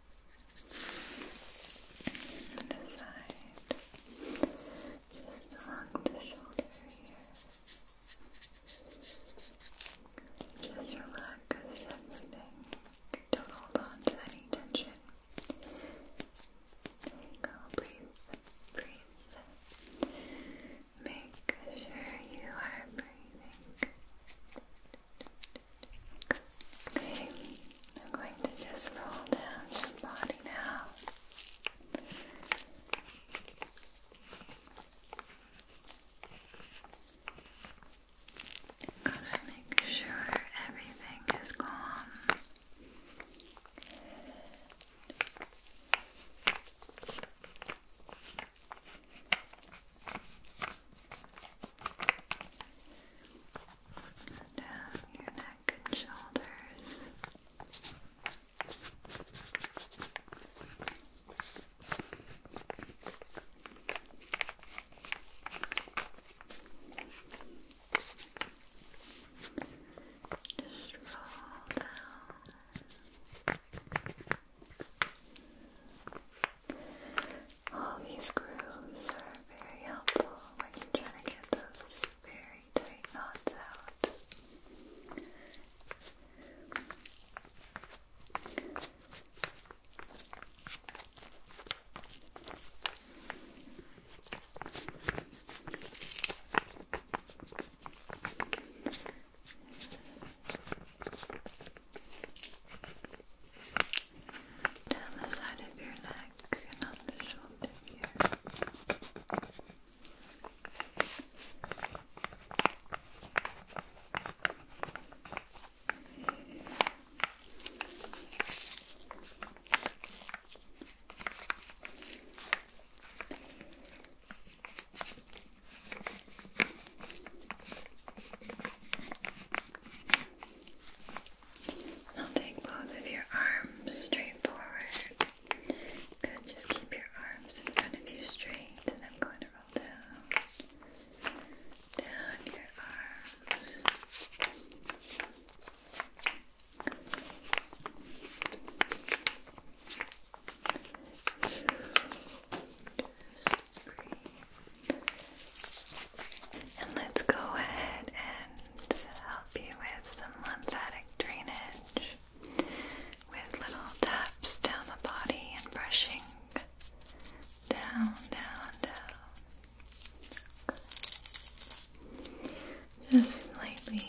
And the side, just along the shoulder here. Just relax everything. Don't hold on to any tension. you go. Breathe. Breathe. Make sure you are breathing. Okay, I'm going to just roll down your body now. Gotta make sure everything is calm down your neck and shoulders. Just roll down. All these grooves are very helpful when you're trying to get those very tight knots out down the side of your neck and on the shoulder here. I'll take both of your arms straight forward. Good, just keep your arms in front of you straight, and I'm going to roll down, down your arms. And let's go ahead and help you with some lymphatic drainage with little taps down the body and brushing down, down, down. Just lightly.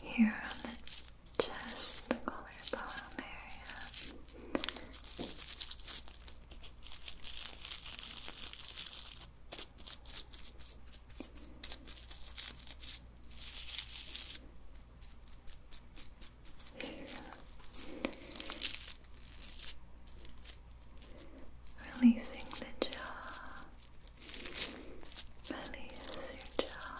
Here on the chest, the collarbone area. Releasing the jaw. Release your jaw.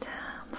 Down the arm. Down the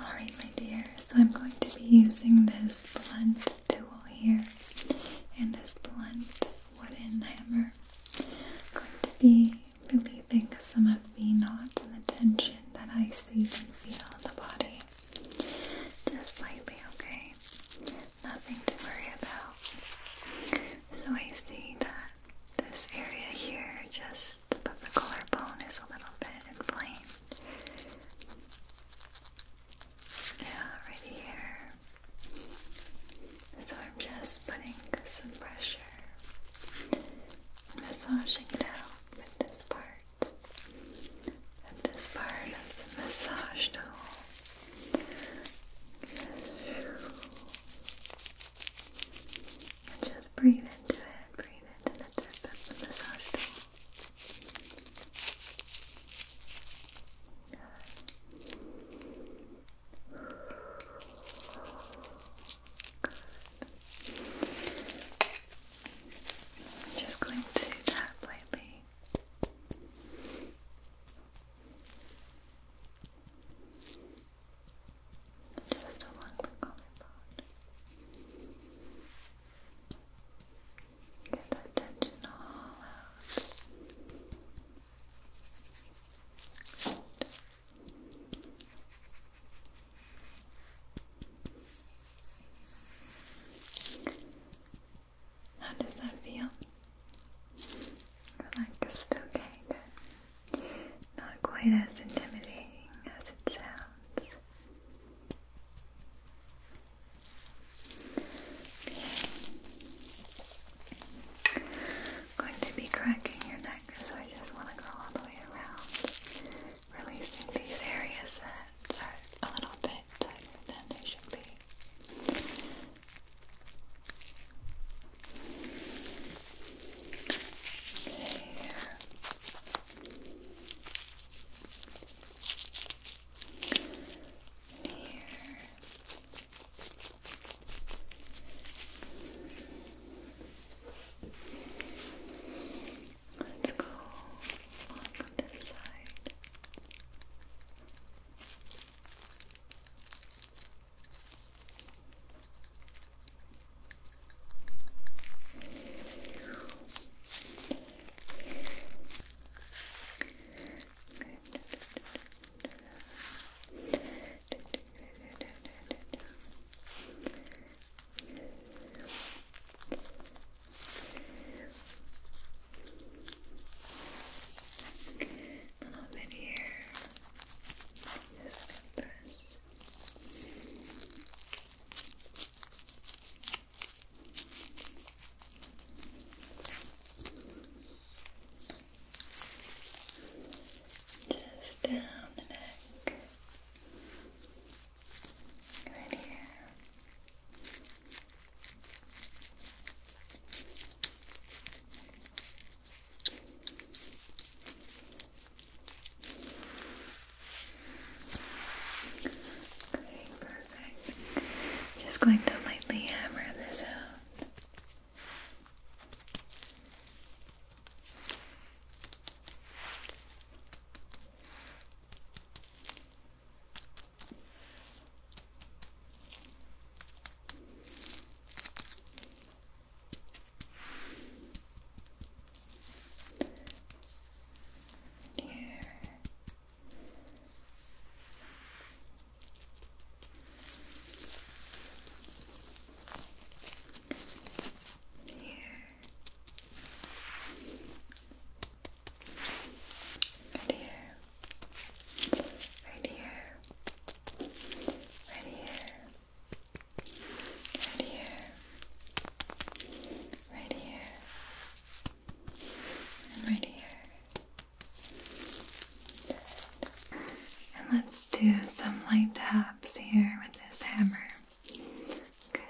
Alright, my dear, so I'm going to be using this blunt tool here and this blunt wooden hammer. I'm going to be relieving some of the knots and the tension that I see and feel in the body. Just slightly, okay? Nothing to worry about. So I see that this area here, just above the collarbone, is a little bit inflamed. Yeah, right here. So I'm just putting some pressure, massaging it out with this part and this part of the massage tool just breathe into it, breathe into the tip of the massage tool I'm just going to tap lightly. Just along the collarbone. Get that tension all out. How does that feel? Relaxed, okay, good. Not quite as intimidating as it sounds. going to be cracking your neck, so I just want to go all the way around releasing these areas that are a little bit tighter than they should be. Here. Here. Let's go on this side. A little bit here. Just gonna Just down the neck perfect. I'm just going to lightly hammer this out. Here. Here. Right here. Right here. Right here. Right here. Right here. And right here. And let's do some light taps here with this hammer. Good.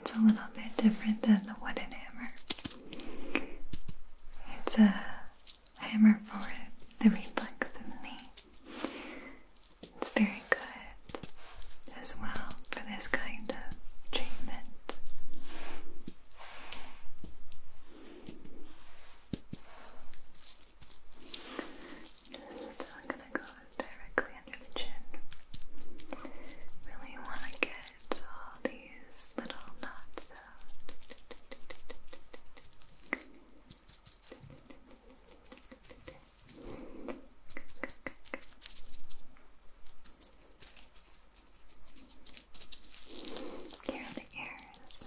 It's a little bit different than the wooden hammer. It's a hammer for the reflex in the knee. It's very good as well for this kind of treatment. Just i gonna go directly under the chin. Really want to get all these little knots out. Here are the ears.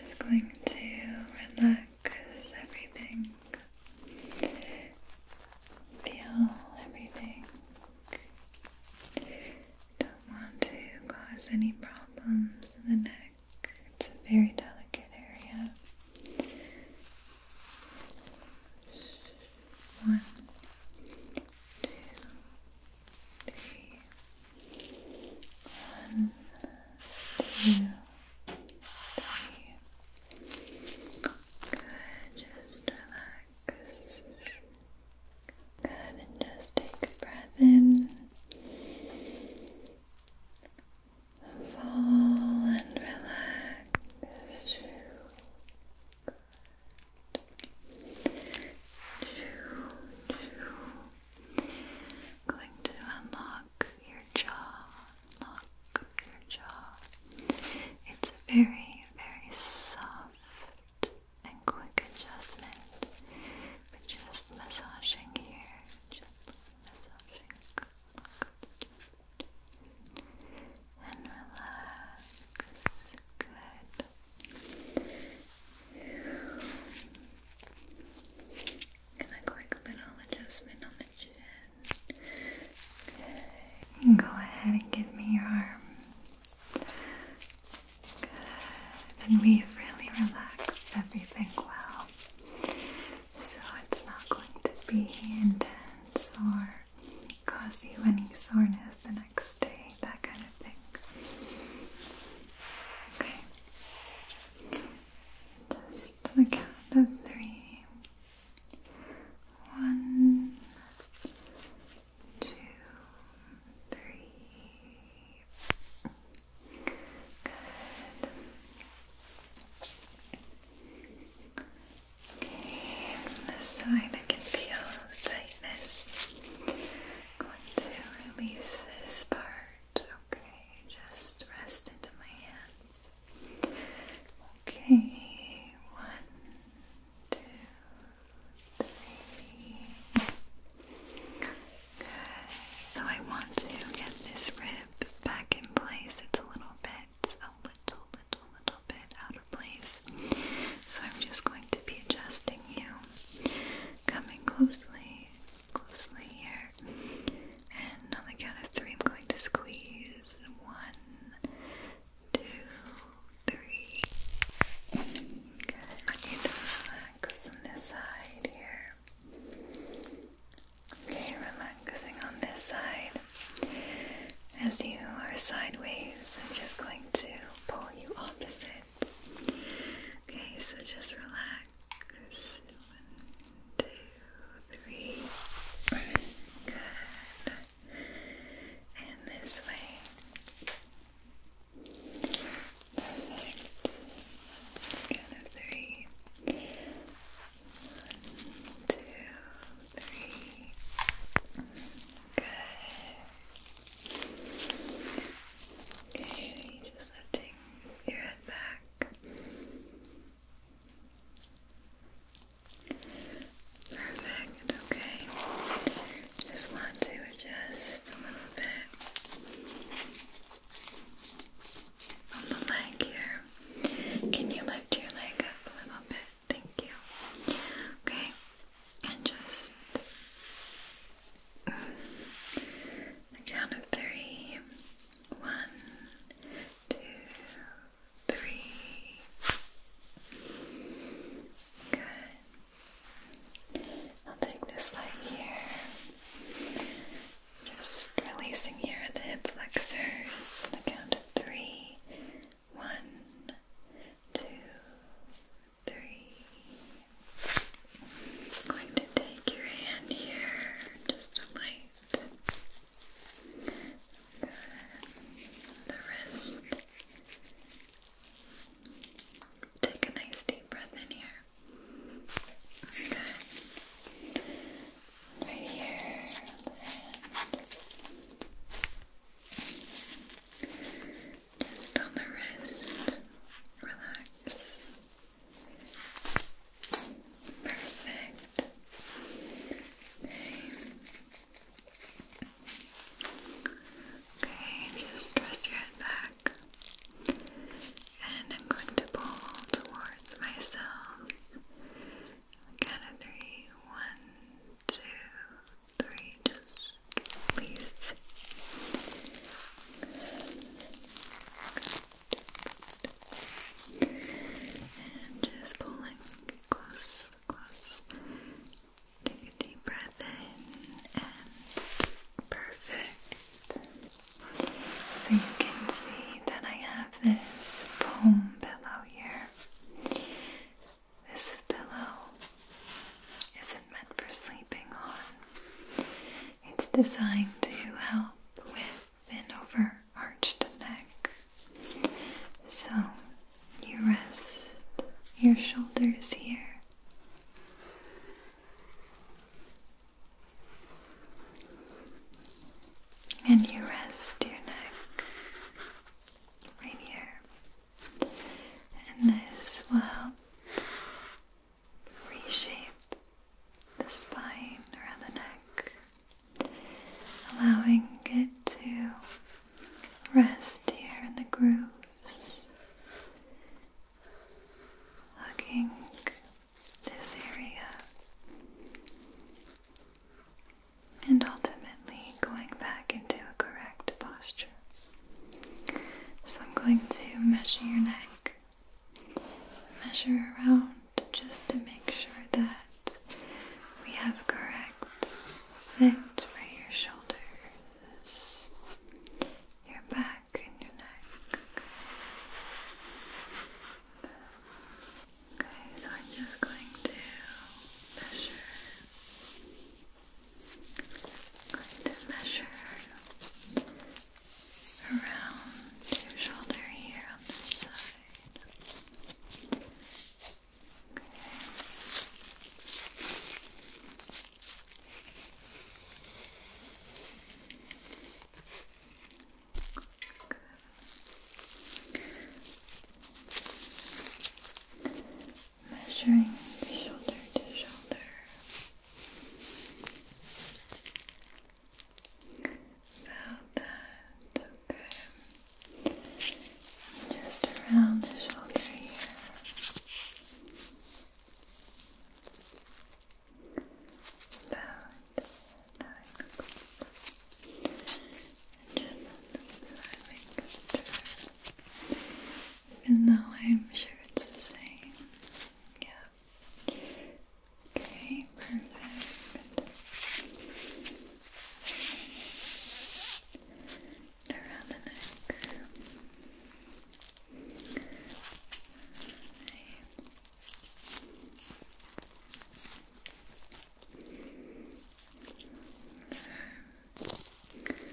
Just going to relax everything, feel everything. Don't want to cause any problems in the neck. It's a very delicate area. One, two, three, one, two, three. Good, just relax. Good, and just take a breath in. Fall and relax. Good. Going to unlock your jaw. Unlock your jaw. It's a very, very soft and quick adjustment. But just massaging here. Just massaging. And relax. Good. Gonna quick little adjustment on the chin. Go ahead and give me your arm. And we've really relaxed everything well. So it's not going to be intense or cause you any soreness the next day, that kind of I Okay. Just to count of three. One, two, three. Good. Okay, this side I can feel tightness. am going to release this part hurt. Okay, just rest into my hands. Okay, one, two, three. Good. So I want to get this rib back in place. It's a little bit, a little, little, little bit out of place. So I'm just going to be adjusting you, coming closely closely here. And on the count of three, I'm going to squeeze. One, two, three. Good. I need to relax on this side here. Okay, relaxing on this side. As you are sideways, I'm just going to pull you opposite Okay, so just relax. One, two, three. Good. And this way. Perfect. two, three. Good. Okay, just have your head back. Perfect, okay. Just want to adjust a little bit on the leg here. Can you lift your leg up a little bit? Thank you. Okay, and just the count of three. One, Good. I'll take this leg here. Just releasing here the hip flexors. The count of three i I'm going to take your hand here just to light the, the wrist. Take a nice deep breath in here. Good. Right here just on the wrist. Relax. Perfect. Okay. just rest your head back. And I'm going to pull towards myself. Count of three. One, Just please and just pulling close, close. Take a deep breath in and perfect. So you can see that I have this foam pillow here. This pillow isn't meant for sleeping on. It's designed to help with an overarched neck. So you rest your shoulders here. And you rest your neck right here. And this will help reshape the spine around the neck, allowing it to rest here in the grooves, hugging this area, and ultimately going back into a correct posture. So, I'm going to measure your neck measure around just to make sure that we have correct fit for your shoulders, your back, and your neck. Okay, so I'm just going to measure. going to measure around your shoulder here on this side. Okay. Good. Measuring shoulder to shoulder. About that, okay. Just around the shoulder here. About nine even though I'm sure it's the same. Yeah. Okay, perfect. And around the neck. Okay. Okay.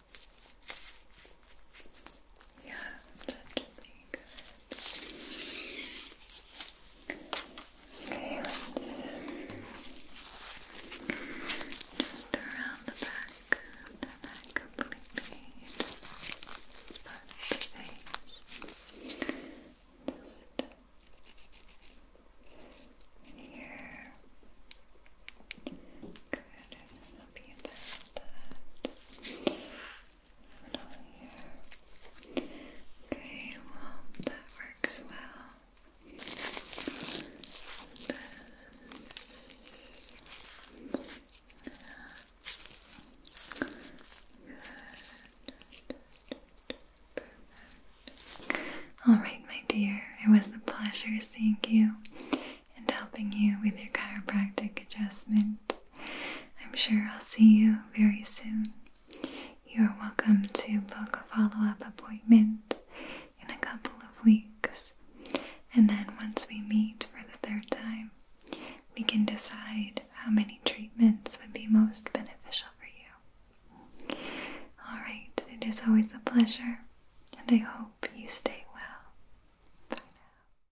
Yeah, that's good. Okay, let's just around the back, the neck completely, but the face. Just here. Good. Okay, well, that works well. All right, my dear, it was a pleasure seeing you and helping you with your chiropractic adjustment. I'm sure I'll see you very soon. You are welcome to book a follow up appointment in a couple of weeks, and then once we meet for the third time, we can decide how many treatments would be most beneficial for you. Alright, it is always a pleasure, and I hope you stay well. Bye now.